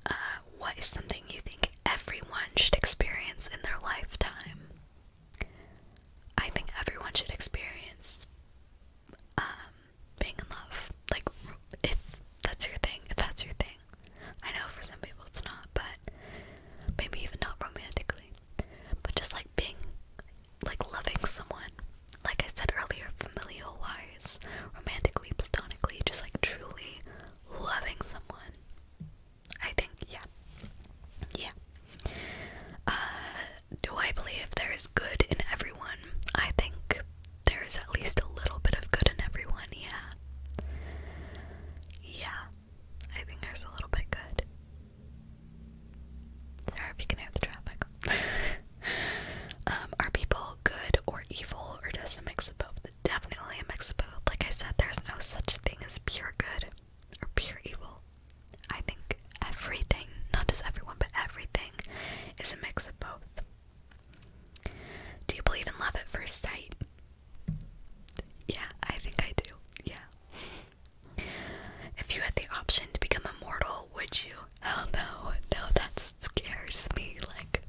Uh, what is something you think everyone should experience in their lifetime? I think everyone should experience um, being in love. Like, if that's your thing, if that's your thing. I know for some people it's not, but maybe even not romantically. But just like being, like loving someone, like I said earlier, familial wise, romantically, platonically, just like truly loving someone. I think, yeah. Yeah. Uh, do I believe there is good in everyone? I think there is at least a little bit of good in everyone, yeah. Yeah. I think there's a little bit good. Sorry if you can hear the traffic. Um, are people good or evil, or just a mix of both? Definitely a mix of both. Like I said, there's no such thing as pure good or pure evil. I think everything, not just everyone, but everything, is a mix of both. Do you believe in love at first sight? Yeah, I think I do. Yeah. If you had the option to become immortal, would you? Hell no, no, that scares me. Like,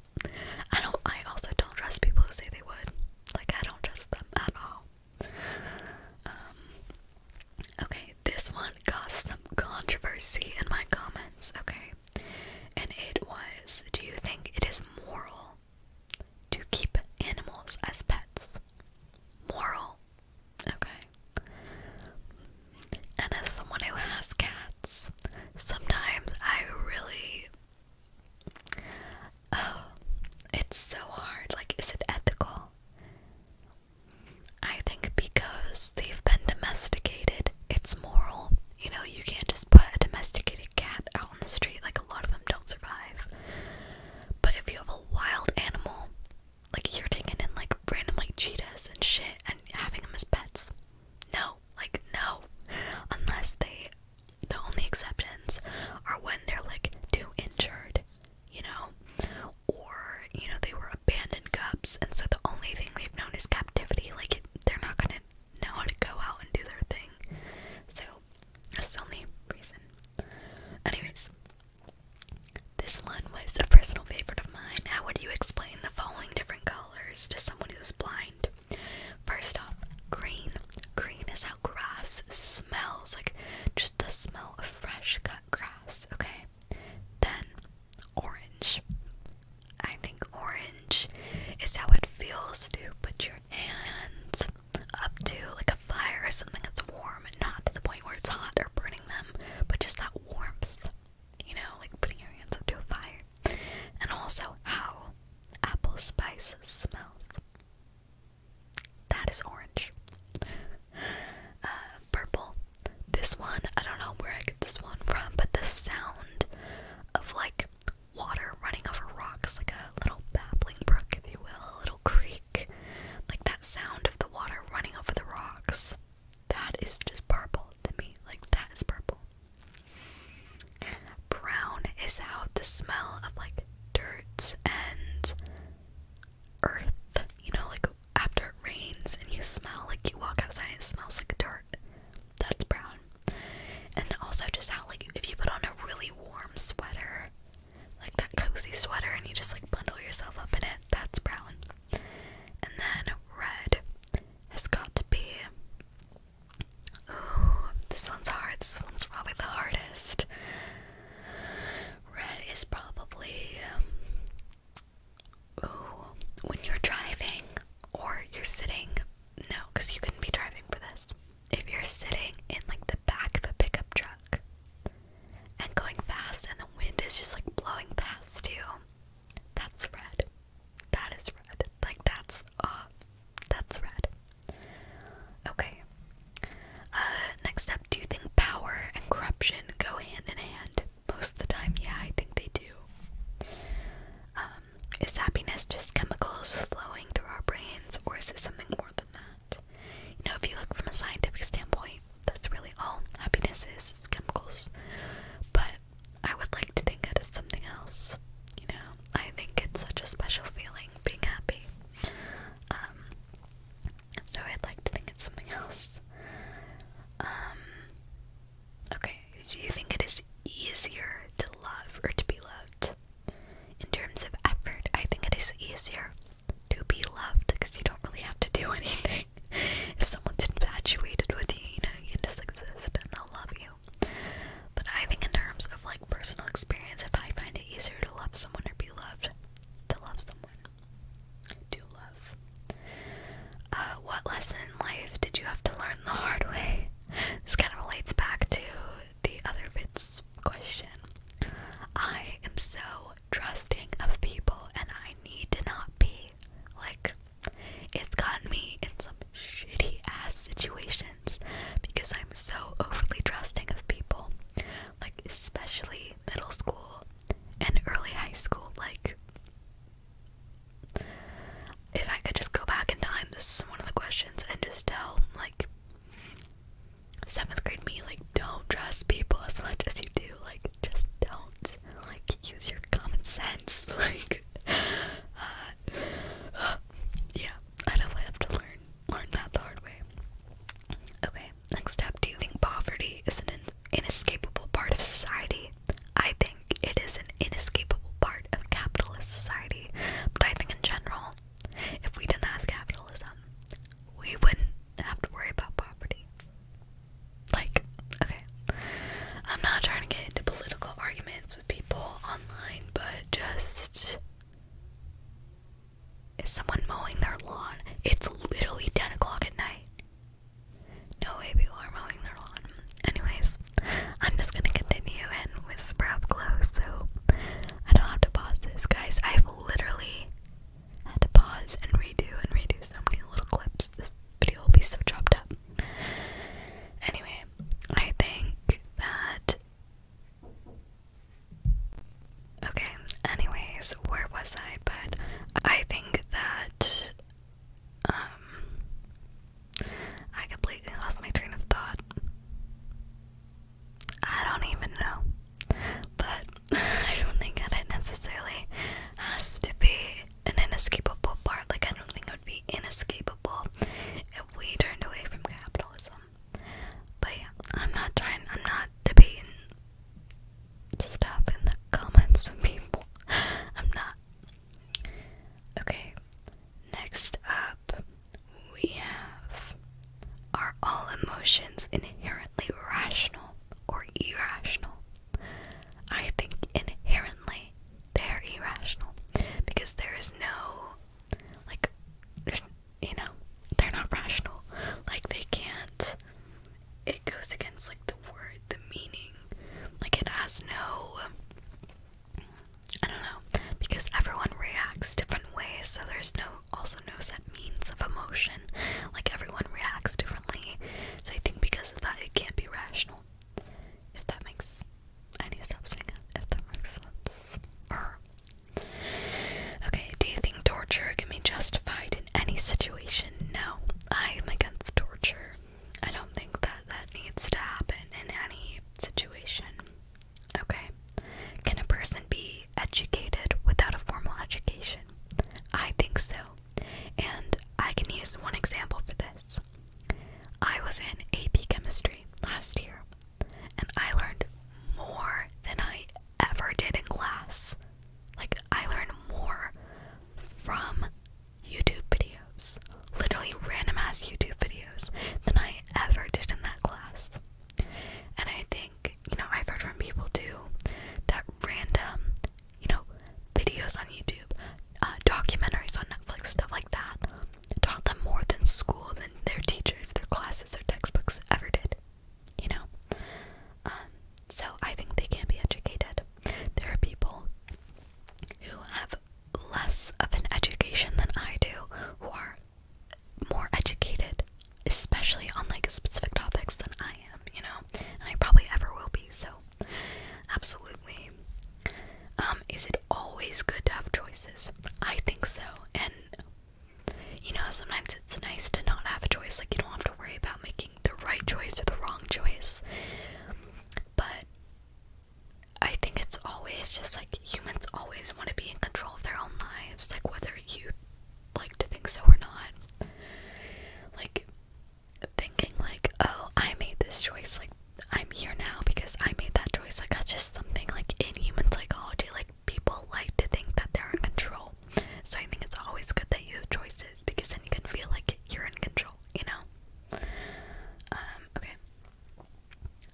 I don't, I also don't trust people who say they would. Like, I don't trust them at all. Um, okay, this one caused some controversy in my comments, okay? And it was, do you think it is moral to keep animals as pets. Moral. Okay. And as someone who has cats, sometimes I really. Oh, it's so hard. Like, is it ethical? I think because they've been domesticated, it's moral. You know, you can't just put a domesticated cat out on the street, like, a lot of them don't survive. But if you have a wild animal, like you're taking in like random like cheetahs and shit and having them as pets, no, like no, unless they. The only exceptions are when they're like too injured, you know, or you know they were abandoned cubs, and so the only thing they've known is captivity. Like they're not gonna know how to go out and do their thing. So that's the only reason. Anyways, this one was a personal favorite of mine. How would you explain the following different colors to someone who's blind? First off, green. Green is how grass smells, like just the smell of fresh cut grass, okay? Then, orange. I think orange is how it feels to put your hands up to like a fire or something that's warm, not to the point where it's hot or burning them, but just that warmth, you know, like putting your hands up to a fire. And also how apple spice smells. That is orange. Uh, purple. This one, I don't know where I get this one from, but the sound of like water running over rocks, like a little babbling brook, if you will, a little creek like that sound of the water running over the rocks. That is just purple to me. Like that is purple. Brown is how the smell of like dirt and earth, you know, like after it rains and you smell like you walk outside and it smells like dirt. That's brown. And also just how like if you put on a really warm sweater like that cozy sweater and you just like bundle yourself up in it. That's brown. And then red has got to be. Ooh, this one's hard. This one's probably the hardest. Red is probably. ooh, when you're driving or you're sitting. No, because you couldn't be driving for this if you're sitting in like the back of a pickup truck and going fast and the wind is just like blowing past you, that's red. That is red. Like that's uh that's red. Okay. Uh, next up, do you think power and corruption go hand in hand? Most of the time, yeah, I think they do. Um, is happiness just chemicals flowing through our brains or is it something more than that? You know, if you look from a scientific standpoint, that's really all happiness is chemicals. But I would like to think it is something else. You know, I think it's such a special feeling being happy. Um, so I'd like to think it's something else. Um, okay, do you think it is easier to love or to be loved? In terms of effort, I think it is easier to be loved because you don't really have to do anything. if someone's infatuated with you, you you just exist and they'll love you. But I think in terms of like personal experience, if I find it easier to love someone or be loved, to love someone, to love. Uh, what lesson in life did you have to learn the hard way? This kind of relates back to the other bits question. I am so trusting of people and I need to not be. Like, it's gotten me in some shitty ass situations because I'm so overly trusting of people. Like, especially middle school and early high school. Like, if I could just go back in time, this is one of the questions, and just tell, like, seventh grade me like don't trust people as much as you do like just don't like use your common sense like uh, yeah i definitely have to learn learn that the hard way okay next step. do you think poverty is an inescapable part of society i think it is an inescapable part of capitalist society but i think in general if we didn't have capitalism we wouldn't have to worry about property. Like, okay. I'm not trying to get into political arguments with people online, but just. Is someone mowing their lawn? It's literally 10 o'clock at night. No way people are mowing their lawn. Anyways, I'm just gonna continue and whisper up close so I don't have to pause this. Guys, I've literally had to pause and redo and redo so many little clips. This video will be so chopped up. Anyway, I think that. Okay, anyways, where was I? But I think that. Um. I completely lost my train of thought. I don't even know. But I don't think that it necessarily has to be an inescapable part. Like, I don't think it would be inescapable if we turned away from capitalism. But yeah, I'm not trying, I'm not debating Stop in the comments with people. I'm not. Okay, next up we have. Are all emotions inherently rational or irrational? I think inherently they're irrational because there is no, like, there's, you know, they're not rational. Like, they can't, it goes against, like, the word, the meaning. Like, it has no, I don't know, because everyone reacts different ways, so there's no also knows that means of emotion. Like everyone reacts differently. So I think because of that, it can't be rational. If that makes I need to stop saying if that makes sense. okay, do you think torture can be justified in any situation? No, I am against torture. I don't think that that needs to happen in any situation. Okay. Can a person be educated without a formal education? I think so. And I can use one example for this. I was in AP chemistry last year, and I learned more than I ever did in class. Like, I learned more from YouTube videos, literally random ass YouTube videos, than I ever did in that class. And I think think, you know, I've heard from people too that random, you know, videos on YouTube, uh, documentaries on Netflix, stuff like that, taught them more than school, than their teachers, their classes, their textbooks ever did. You know? Um, so I think they can be educated. There are people who have less of an education than I do who are more educated, especially on like specific topics than I am, you know, and I probably ever will be. So, absolutely. Um, is it always good to have choices? I think so, and you know, sometimes it's nice to not have a choice. Like you don't have to worry about making the right choice or the wrong choice. But I think it's always just like humans always want to be in control of their own lives, like whether you like to think so or not. Like thinking like, oh, I made this choice, like I'm here now because I made that choice. Like that's just something like in human psychology, like people like to think that they're in control. So I think it's always good that you have choices because then you can feel like you're in control, you know? Um, okay.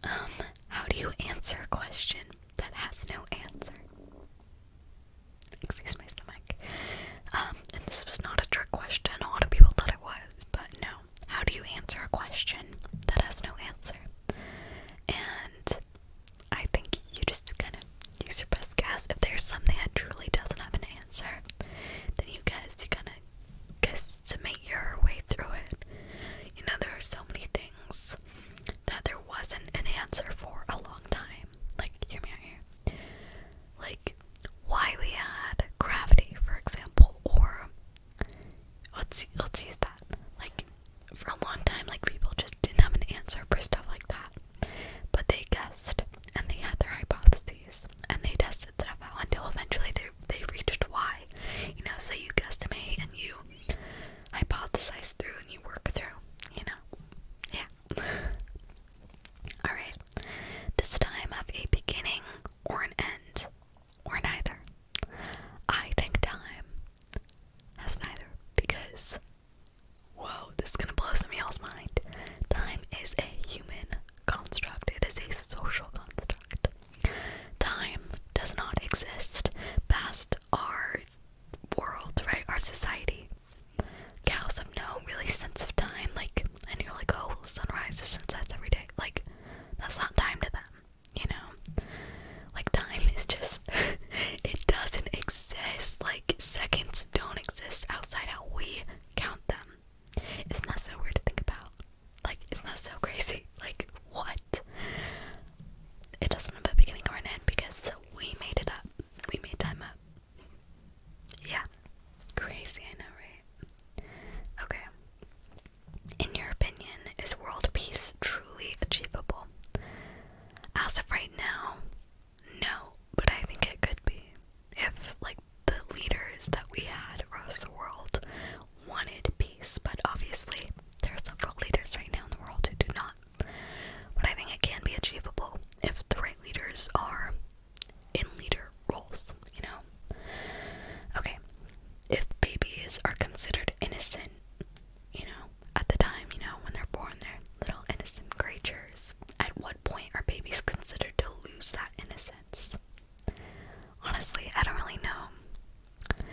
Um, how do you answer a question? that has no answer. Excuse my stomach. Um, and this was not a trick question. A lot of people thought it was, but no. How do you answer a question that has no answer? And I think you just kind of use your best guess. If there's something that truly doesn't have an answer, then you guess. You kind of guesstimate your way through it. You know, there are so many things that there wasn't an answer for a long time. Like, hear me out here. Like, why we had gravity, for example, or let's let's use that. Like, for a long time, like people just didn't have an answer for stuff like that, but they guessed and they had their hypotheses and they tested stuff out until eventually they they reached why. You know, so you guessed guesstimate and you hypothesize through and you work through, you know? Yeah. Alright. Does time of a beginning or an end? Or neither? I think time has neither because, whoa, this is gonna blow some y'all's mind. Time is a human construct, it is a social construct. Time does not exist past our world, right? Our society. Cows have no really sense of time, like, and you're like, oh, well, sunrise and sunsets every day. Like, that's not time to them, you know? Like, time is just, it doesn't exist. Like, seconds don't exist outside how we count them. Isn't that so weird to think about? Like, isn't that so crazy? Like, what? it doesn't have a beginning or an end because we made it up. We made time up. Yeah. Crazy, I know, right? Okay. In your opinion, is world peace truly achievable? As of right now, no, but I think it could be. If, like, the leaders that we had across the world wanted peace but obviously there are several leaders right now in the world who do not. But I think it can be achievable if the right leaders are in leader roles, you know? Okay, if babies are considered innocent, you know, at the time, you know, when they're born, they're little innocent creatures. At what point are babies considered to lose that innocence? Honestly, I don't really know.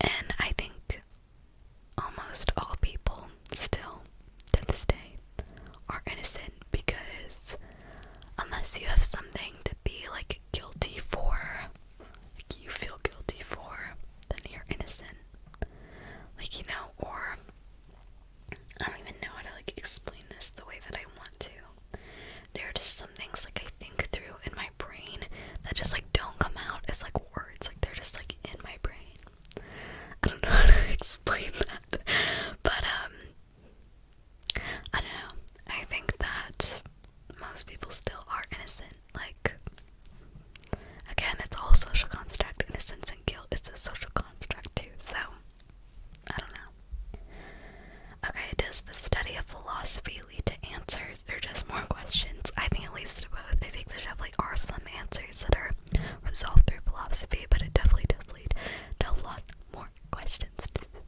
And I think Almost all people, still to this day, are innocent because unless you have something to be like guilty for, like you feel guilty for, then you're innocent. Like, you know, or I don't even know how to like explain this the way that I want to. There are just some things like I think through in my brain that just like don't come out It's like words, like they're just like in my brain. I don't know how to explain that. But um I don't know. I think that most people still are innocent. Like again, it's all social construct. Innocence and guilt is a social construct too, so I don't know. Okay, does the study of philosophy likely lead to answers or just more questions. I think it leads to both. I think there definitely are some answers that are resolved through philosophy, but it definitely does lead to a lot more questions. Just,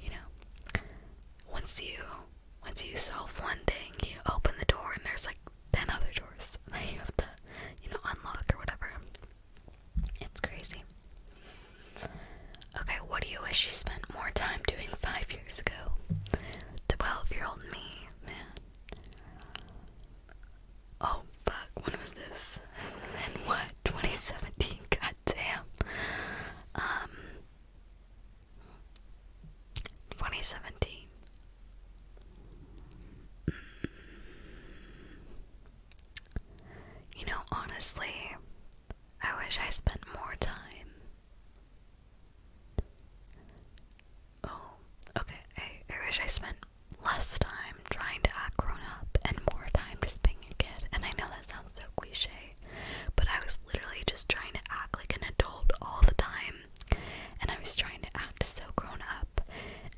you know, once you once you solve one thing, you open the door and there's like ten other doors that you have to, you know, unlock or whatever. It's crazy. Okay, what do you wish you spent more time doing five years ago? 12 year old me, man. Oh, fuck, when was this? in what? 2017? God damn. Um. 2017. Mm. You know, honestly, I wish I spent more time Oh, okay. I, wish I spent less time trying to act grown up and more time just being a kid. And I know that sounds so cliche, but I was literally just trying to act like an adult all the time. And I was trying to act so grown up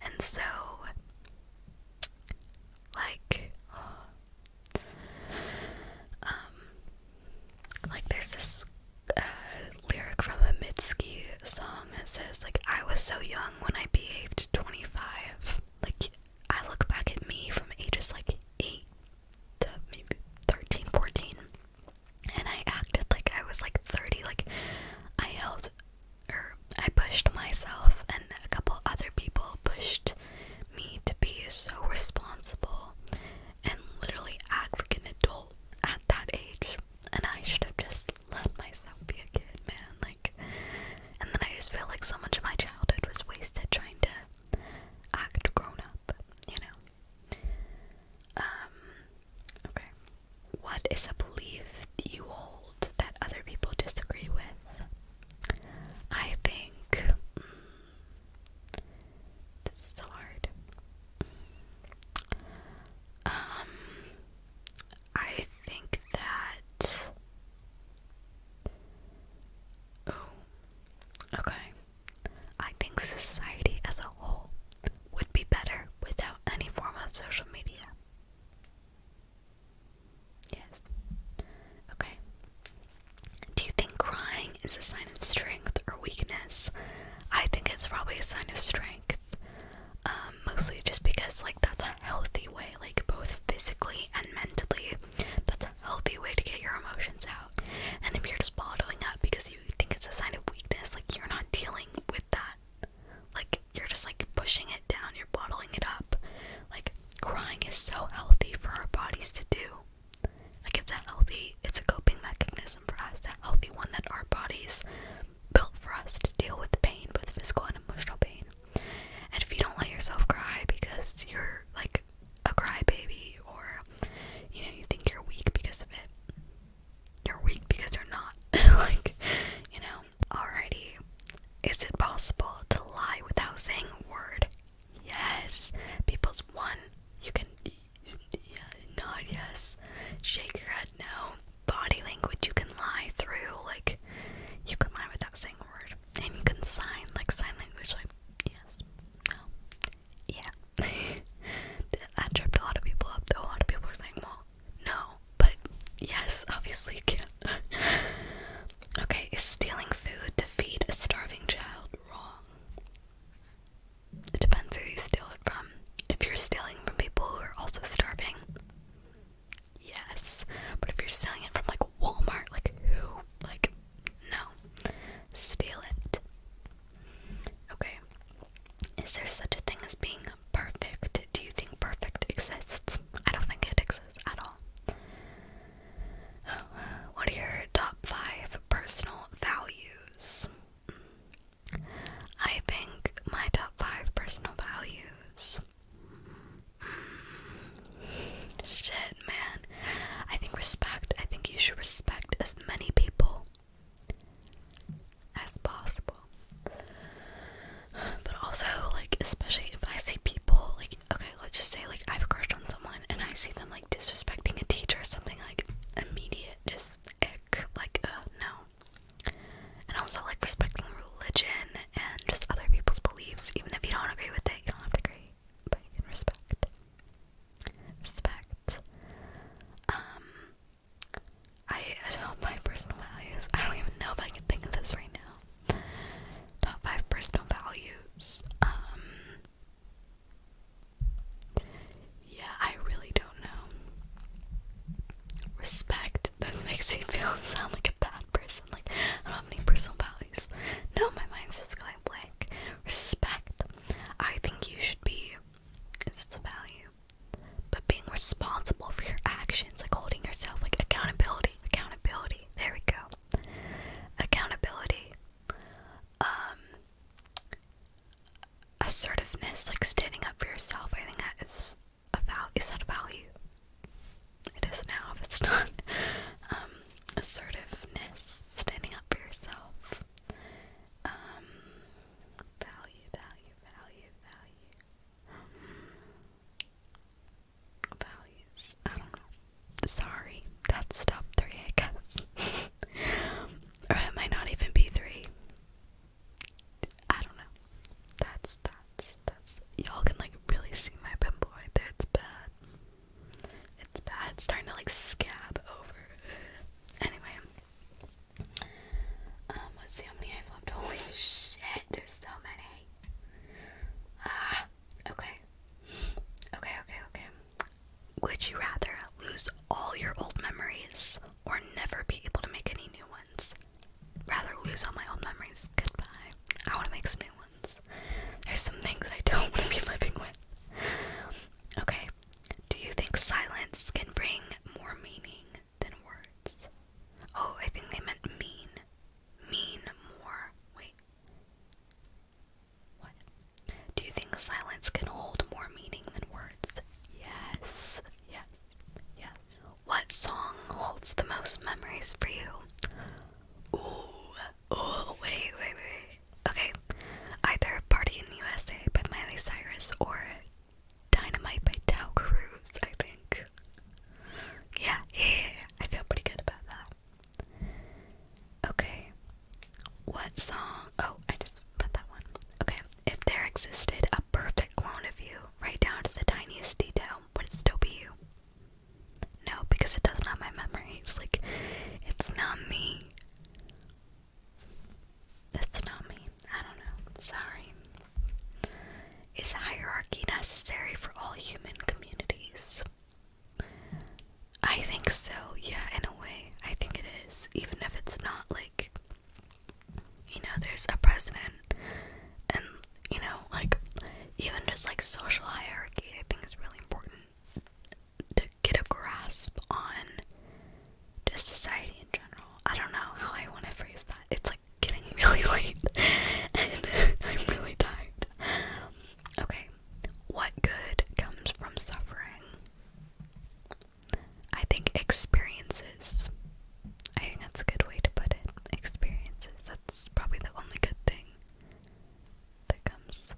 and so, like, um, like there's this uh, lyric from a Mitski song that says like I was so young when I behaved 25. Like I look back at me from ages like 8 to maybe 13, 14 and I acted like I was like 30. Like I held or er, I pushed myself and a couple other people pushed me to be so responsible and literally act like an adult at that age. And I should have just let myself be a kid, man. Like, and then I just feel like so much of my childhood was wasted trying to act grown up, you know? Um, okay. What is a belief you hold that other people disagree with? I think. Mm, this is hard. Um, I think that. Oh, okay. I think society as a whole would be better without any form of social media. Yes. Okay. Do you think crying is a sign of strength or weakness? I think it's probably a sign of strength. Um, mostly just because, like, that's a healthy way, like, both physically and mentally, that's a healthy way to get your emotions out. And if you're just bottling up because you think it's a sign of weakness, like, you're not dealing with that. Like, you're just, like, pushing it down, you're bottling it up. Like, crying is so healthy for our bodies to do. Like it's a healthy, it's a coping mechanism for us, that healthy one that our bodies built for us to deal with pain, with physical and emotional pain. And if you don't let yourself cry because you're like a cry baby, or you know, you think you're weak because of it, you're weak because you're not. like, you know, alrighty. Is it possible to lie without saying a word? Yes. People's one, you can yeah, nod yes, shake your head no. Body language you can lie through, like you can lie without saying a word, and you can sign like sign language, like yes, no, yeah. that tripped a lot of people up. Though a lot of people were like, well, no, but yes, obviously you can't. okay, is stealing food to feed a starving child wrong? It depends who you steal it from. If you're stealing from people who are also starving, yes. But if you're stealing it from like Walmart, like who? Like, no. Steal it. Okay. Is there such a thing as being perfect? Do you think perfect exists? I don't think it exists at all. what are your top five personal values? I think my top five personal values. Shit, man. I think respect. I think you should respect as many people as possible. But also, like, especially if I see people, like, okay, let's just say, like, I've crushed on someone and I see them, like disrespecting a teacher or something like immediate just ick like uh no and also like respecting religion and just other people's beliefs even if you don't agree with it you don't have to agree but you can respect respect um I top five personal values. I don't even know if I can think of this right now. Top five personal values. Um yeah, I really don't know. Respect. This makes me feel sound like a bad person. Like I don't have any personal values. No, my mind's just going blank. Respect. I think you should be. It's a value, but being responsible for your actions, like holding yourself, like accountability. Accountability. There we go. Accountability. Um, assertiveness, like standing up for yourself, I think that is a value. Is that a value? It is now, if it's not. Um, assertiveness, standing up for yourself. Um, value, value, value, value. Um, values. I don't know. Sorry, that's top three, I guess. Or it might not even be three. I don't know. That's that's that's y'all can like really see my pimple It's bad. It's bad. It's starting to like scab over. Anyway. Um, let's see how many I've Holy shit, there's so many. Ah, okay. Okay, okay, okay. Would you rather lose all your old memories or never be able to make any new ones? Rather lose all my old memories. Goodbye. I want to make some new ones. There's some things I don't want to be living with. Okay. Do you think silence can bring more meaning than words? Oh, I think they meant mean. Mean more. Wait. Do you think silence can hold more meaning than words? Yes. Yes. Yes. What song holds the most memories for you? Ooh. Oh, wait, wait, wait. Okay. Either Party in the USA by Miley Cyrus or Dynamite by Tao Cruz, I think. Yeah, yeah, I feel pretty good about that. Okay, what song? Oh, I just put that one. Okay. If there existed a perfect clone of you, right down to the tiniest detail, would it still be you? No, because it doesn't have my memories. Like, it's not me. That's not me. I don't know. Sorry. Is hierarchy necessary for all human communities? I think so, yeah, in a way. I think it is, even if it's not like, you know, there's a president, and, you know, like, even just like social hierarchy, I think it's really important to get a grasp on just society in general. I don't know how I want to phrase that. It's like getting really late, and I'm really tired. Okay, what good comes from suffering? I think experiences. I think that's a good way to put it. Experiences. That's probably the only good thing that comes.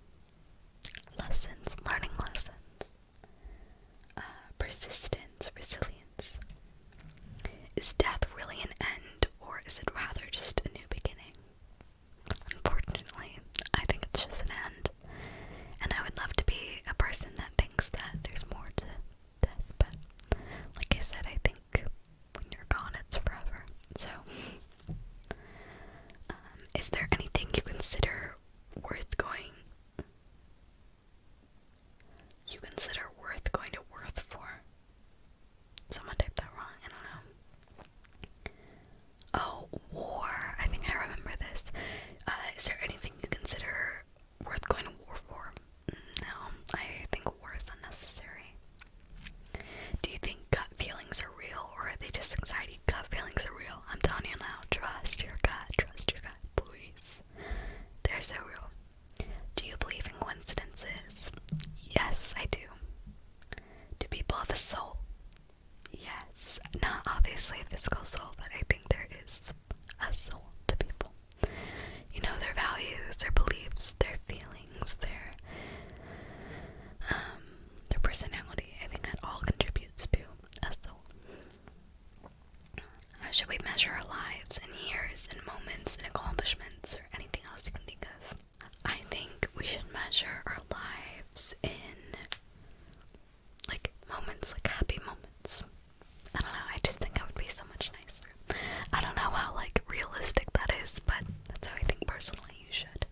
Lessons, learning lessons. Uh, persistence, resilience. Is death really an end, or is it rather just a new beginning? Unfortunately, I think it's just an end. And I would love to be a person that thinks that there's more to death, but like I said, I think when you're gone, it's forever. So, um, is there anything you consider worth going? You consider worth going to worth for? Someone typed that wrong. I don't know. Oh, war. I think I remember this. Uh, is there anything you consider worth going to war for? Mm, no, I think war is unnecessary. Do you think gut feelings are real or are they just anxiety? Gut feelings are real. I'm telling you now. Trust your gut. Trust your gut, please. They're so real. Do you believe in coincidences? Yes, I do. Do people have a soul? Yes, not obviously a physical soul, but I think there is a soul to people. You know, their values, their beliefs, their feelings, their um, their personality. I think that all contributes to a soul. How should we measure our lives in years and moments and accomplishments or anything else you can think of? I think we should measure our lives in like moments, like happy moments. I don't know, I just think I would be so much nicer. I don't know how like realistic that is, but that's how I think personally you should.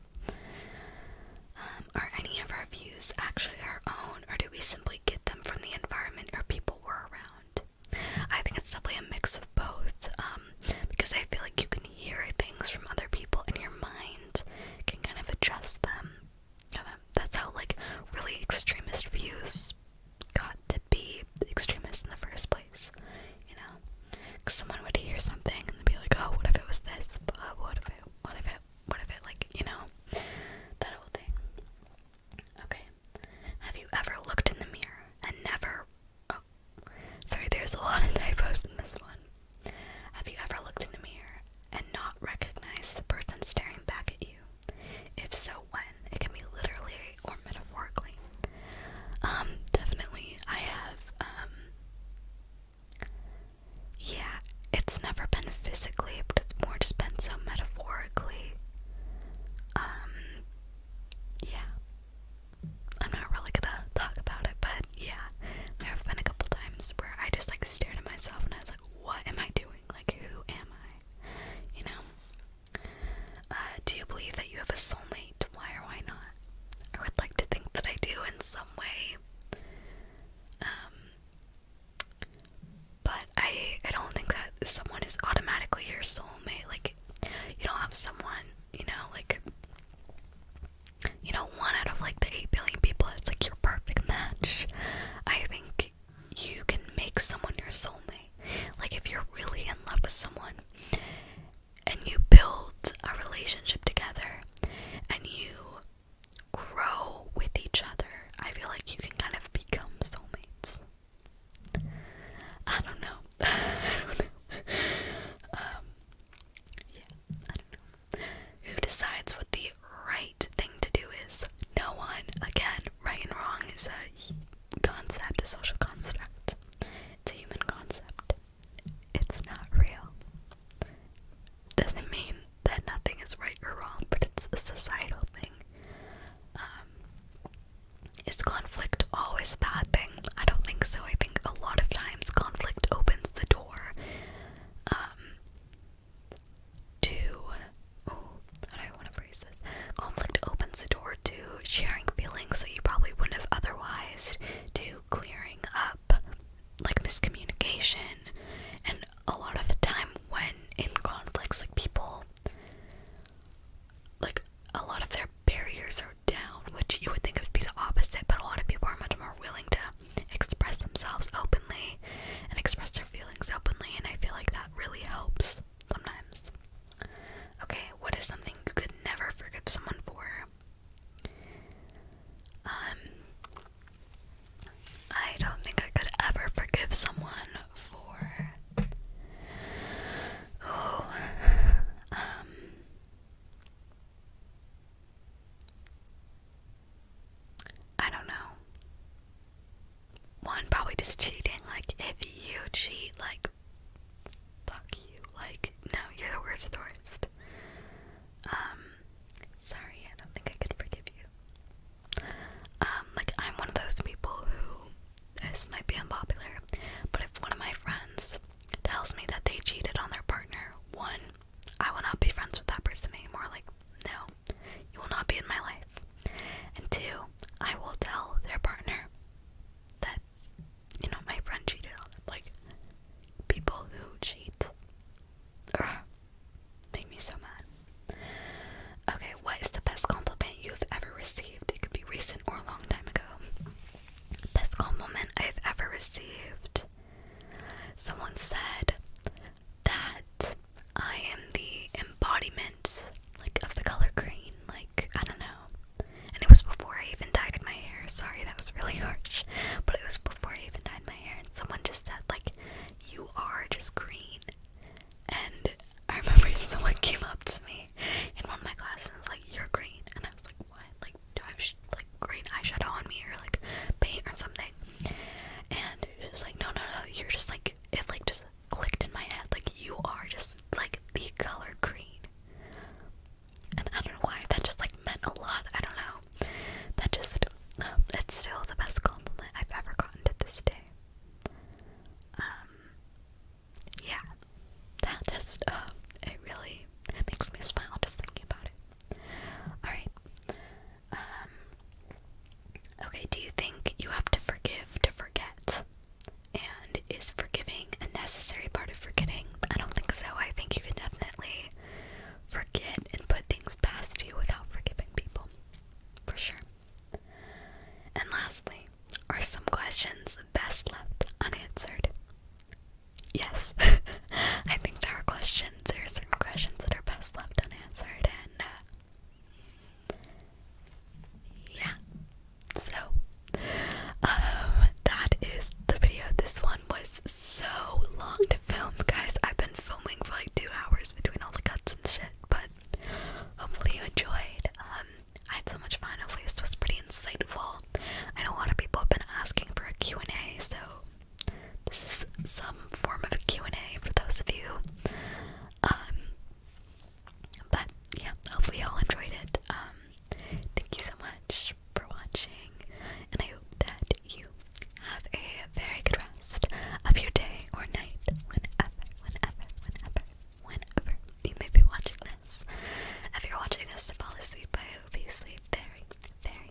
Um, are any of our views actually our own, or do we simply get them from the environment or people we're around? I think it's definitely a mix of both, um, because I feel like you can hear things from other people in your mind mind can kind of address them. That's how like really extremist views got to be extremist in the first place, you know? Because someone would hear something and they'd be like, "Oh, what if it was this? But uh, oh, what if it? What if it? What if it? Like, you know, that whole thing." Okay. Have you ever looked in the mirror and never? Oh, sorry. There's a lot of typos in this one. Have you ever looked in the mirror and not recognized the person staring back at you? If so, when? It can be literally or metaphorically. Um, definitely. I have, um, yeah, it's never been physically, but it's more just been so metaphorically. Um, yeah. I'm not really gonna talk about it, but yeah, there have been a couple times where I just like stared at myself and I was like, what am I doing? Like, who am I? You know? Uh, do you believe that you have a soulmate? Why or why not? I would like to think that I do in some way. Um, but I, I don't think that someone is automatically your soulmate. Like, you don't have someone, you know, like, you know, one out of like the 8 billion people, it's like your perfect match. I think you can make someone your soulmate. Like, if you're really in love with someone and you build a relationship together and you grow with each other, I feel like you can kind of become soulmates. I don't know. Um, who decides what the right thing to do is? No one. Again, right and wrong is a concept, a social construct. It's a human concept. It's not real. Doesn't mean that nothing is right or wrong, but it's a societal thing. Um, is conflict always a bad thing? I don't think so. I think a lot of times conflict opens the door um, to, oh, how do I want to phrase this? Conflict opens the door to sharing feelings that you probably wouldn't have otherwise, to clearing up like miscommunication, and a lot of the time when in conflicts, like people, like a lot of their barriers are down, which you would think would be the opposite, but a lot of people are much more willing to express themselves openly and express their feelings openly, and I feel like that really helps sometimes. Okay, what is something you could never forgive someone for? Um, I don't think I could ever forgive someone for. Oh, um, I don't know. One, probably just cheating. Like, if you cheat, like, fuck you. Like, no, you're the worst of Um, sorry, I don't think I could forgive you. Um, like, I'm one of those people who, this might be unpopular, but if one of my friends tells me that they cheated on their partner, one, I will not be friends with that person anymore. Like, no, you will not be in my life. And two, I will tell their partner that, you know, my friend cheated on them. Like, people who cheat make me so mad. Okay, what is the best compliment you've ever received? It could be recent or a long time ago. Best compliment I've ever received. Someone said that I am the embodiment like of the color green, like I don't know. And it was before I even dyed my hair. Sorry, that was really harsh. But it was before I even dyed my hair and someone just said like you are just green. And I remember someone came up to me in one of my classes like, You're green and I was like, what? Like, do I have sh like green eyeshadow on me or like paint or something?" And she like, "No, no, no. You're just like it's like just clicked in my head. Like you are just like the color green." And I don't know why that just like meant a lot. I don't know. That just um, it's still the best compliment I've ever gotten to this day. Um, yeah, that just uh, it really makes me smile just thinking about it. Alright. Um, okay, do you think you have to forgive to forget? And is forgiving a necessary part of forgetting? I don't think so. I think you can definitely forget and put things past you without forgiving people. For sure. And lastly, are some questions best left unanswered? yes, I think there are questions, there are certain questions that are best left unanswered, and uh, yeah. So, um, that is the video. This one was so long to film, guys. I've been filming for like two hours between all the cuts and shit, but hopefully you enjoyed. Um, I had so much fun. Hopefully this was pretty insightful. I know a lot of people have been asking for a Q&A, so this is some form of a Q&A for those of you. Um, but yeah, hopefully y'all enjoyed it. Um, thank you so much for watching, and I hope that you have a very good rest of your day or night, whenever, whenever, whenever, whenever you may be watching this. If you're watching this to fall asleep, I hope you sleep very, very,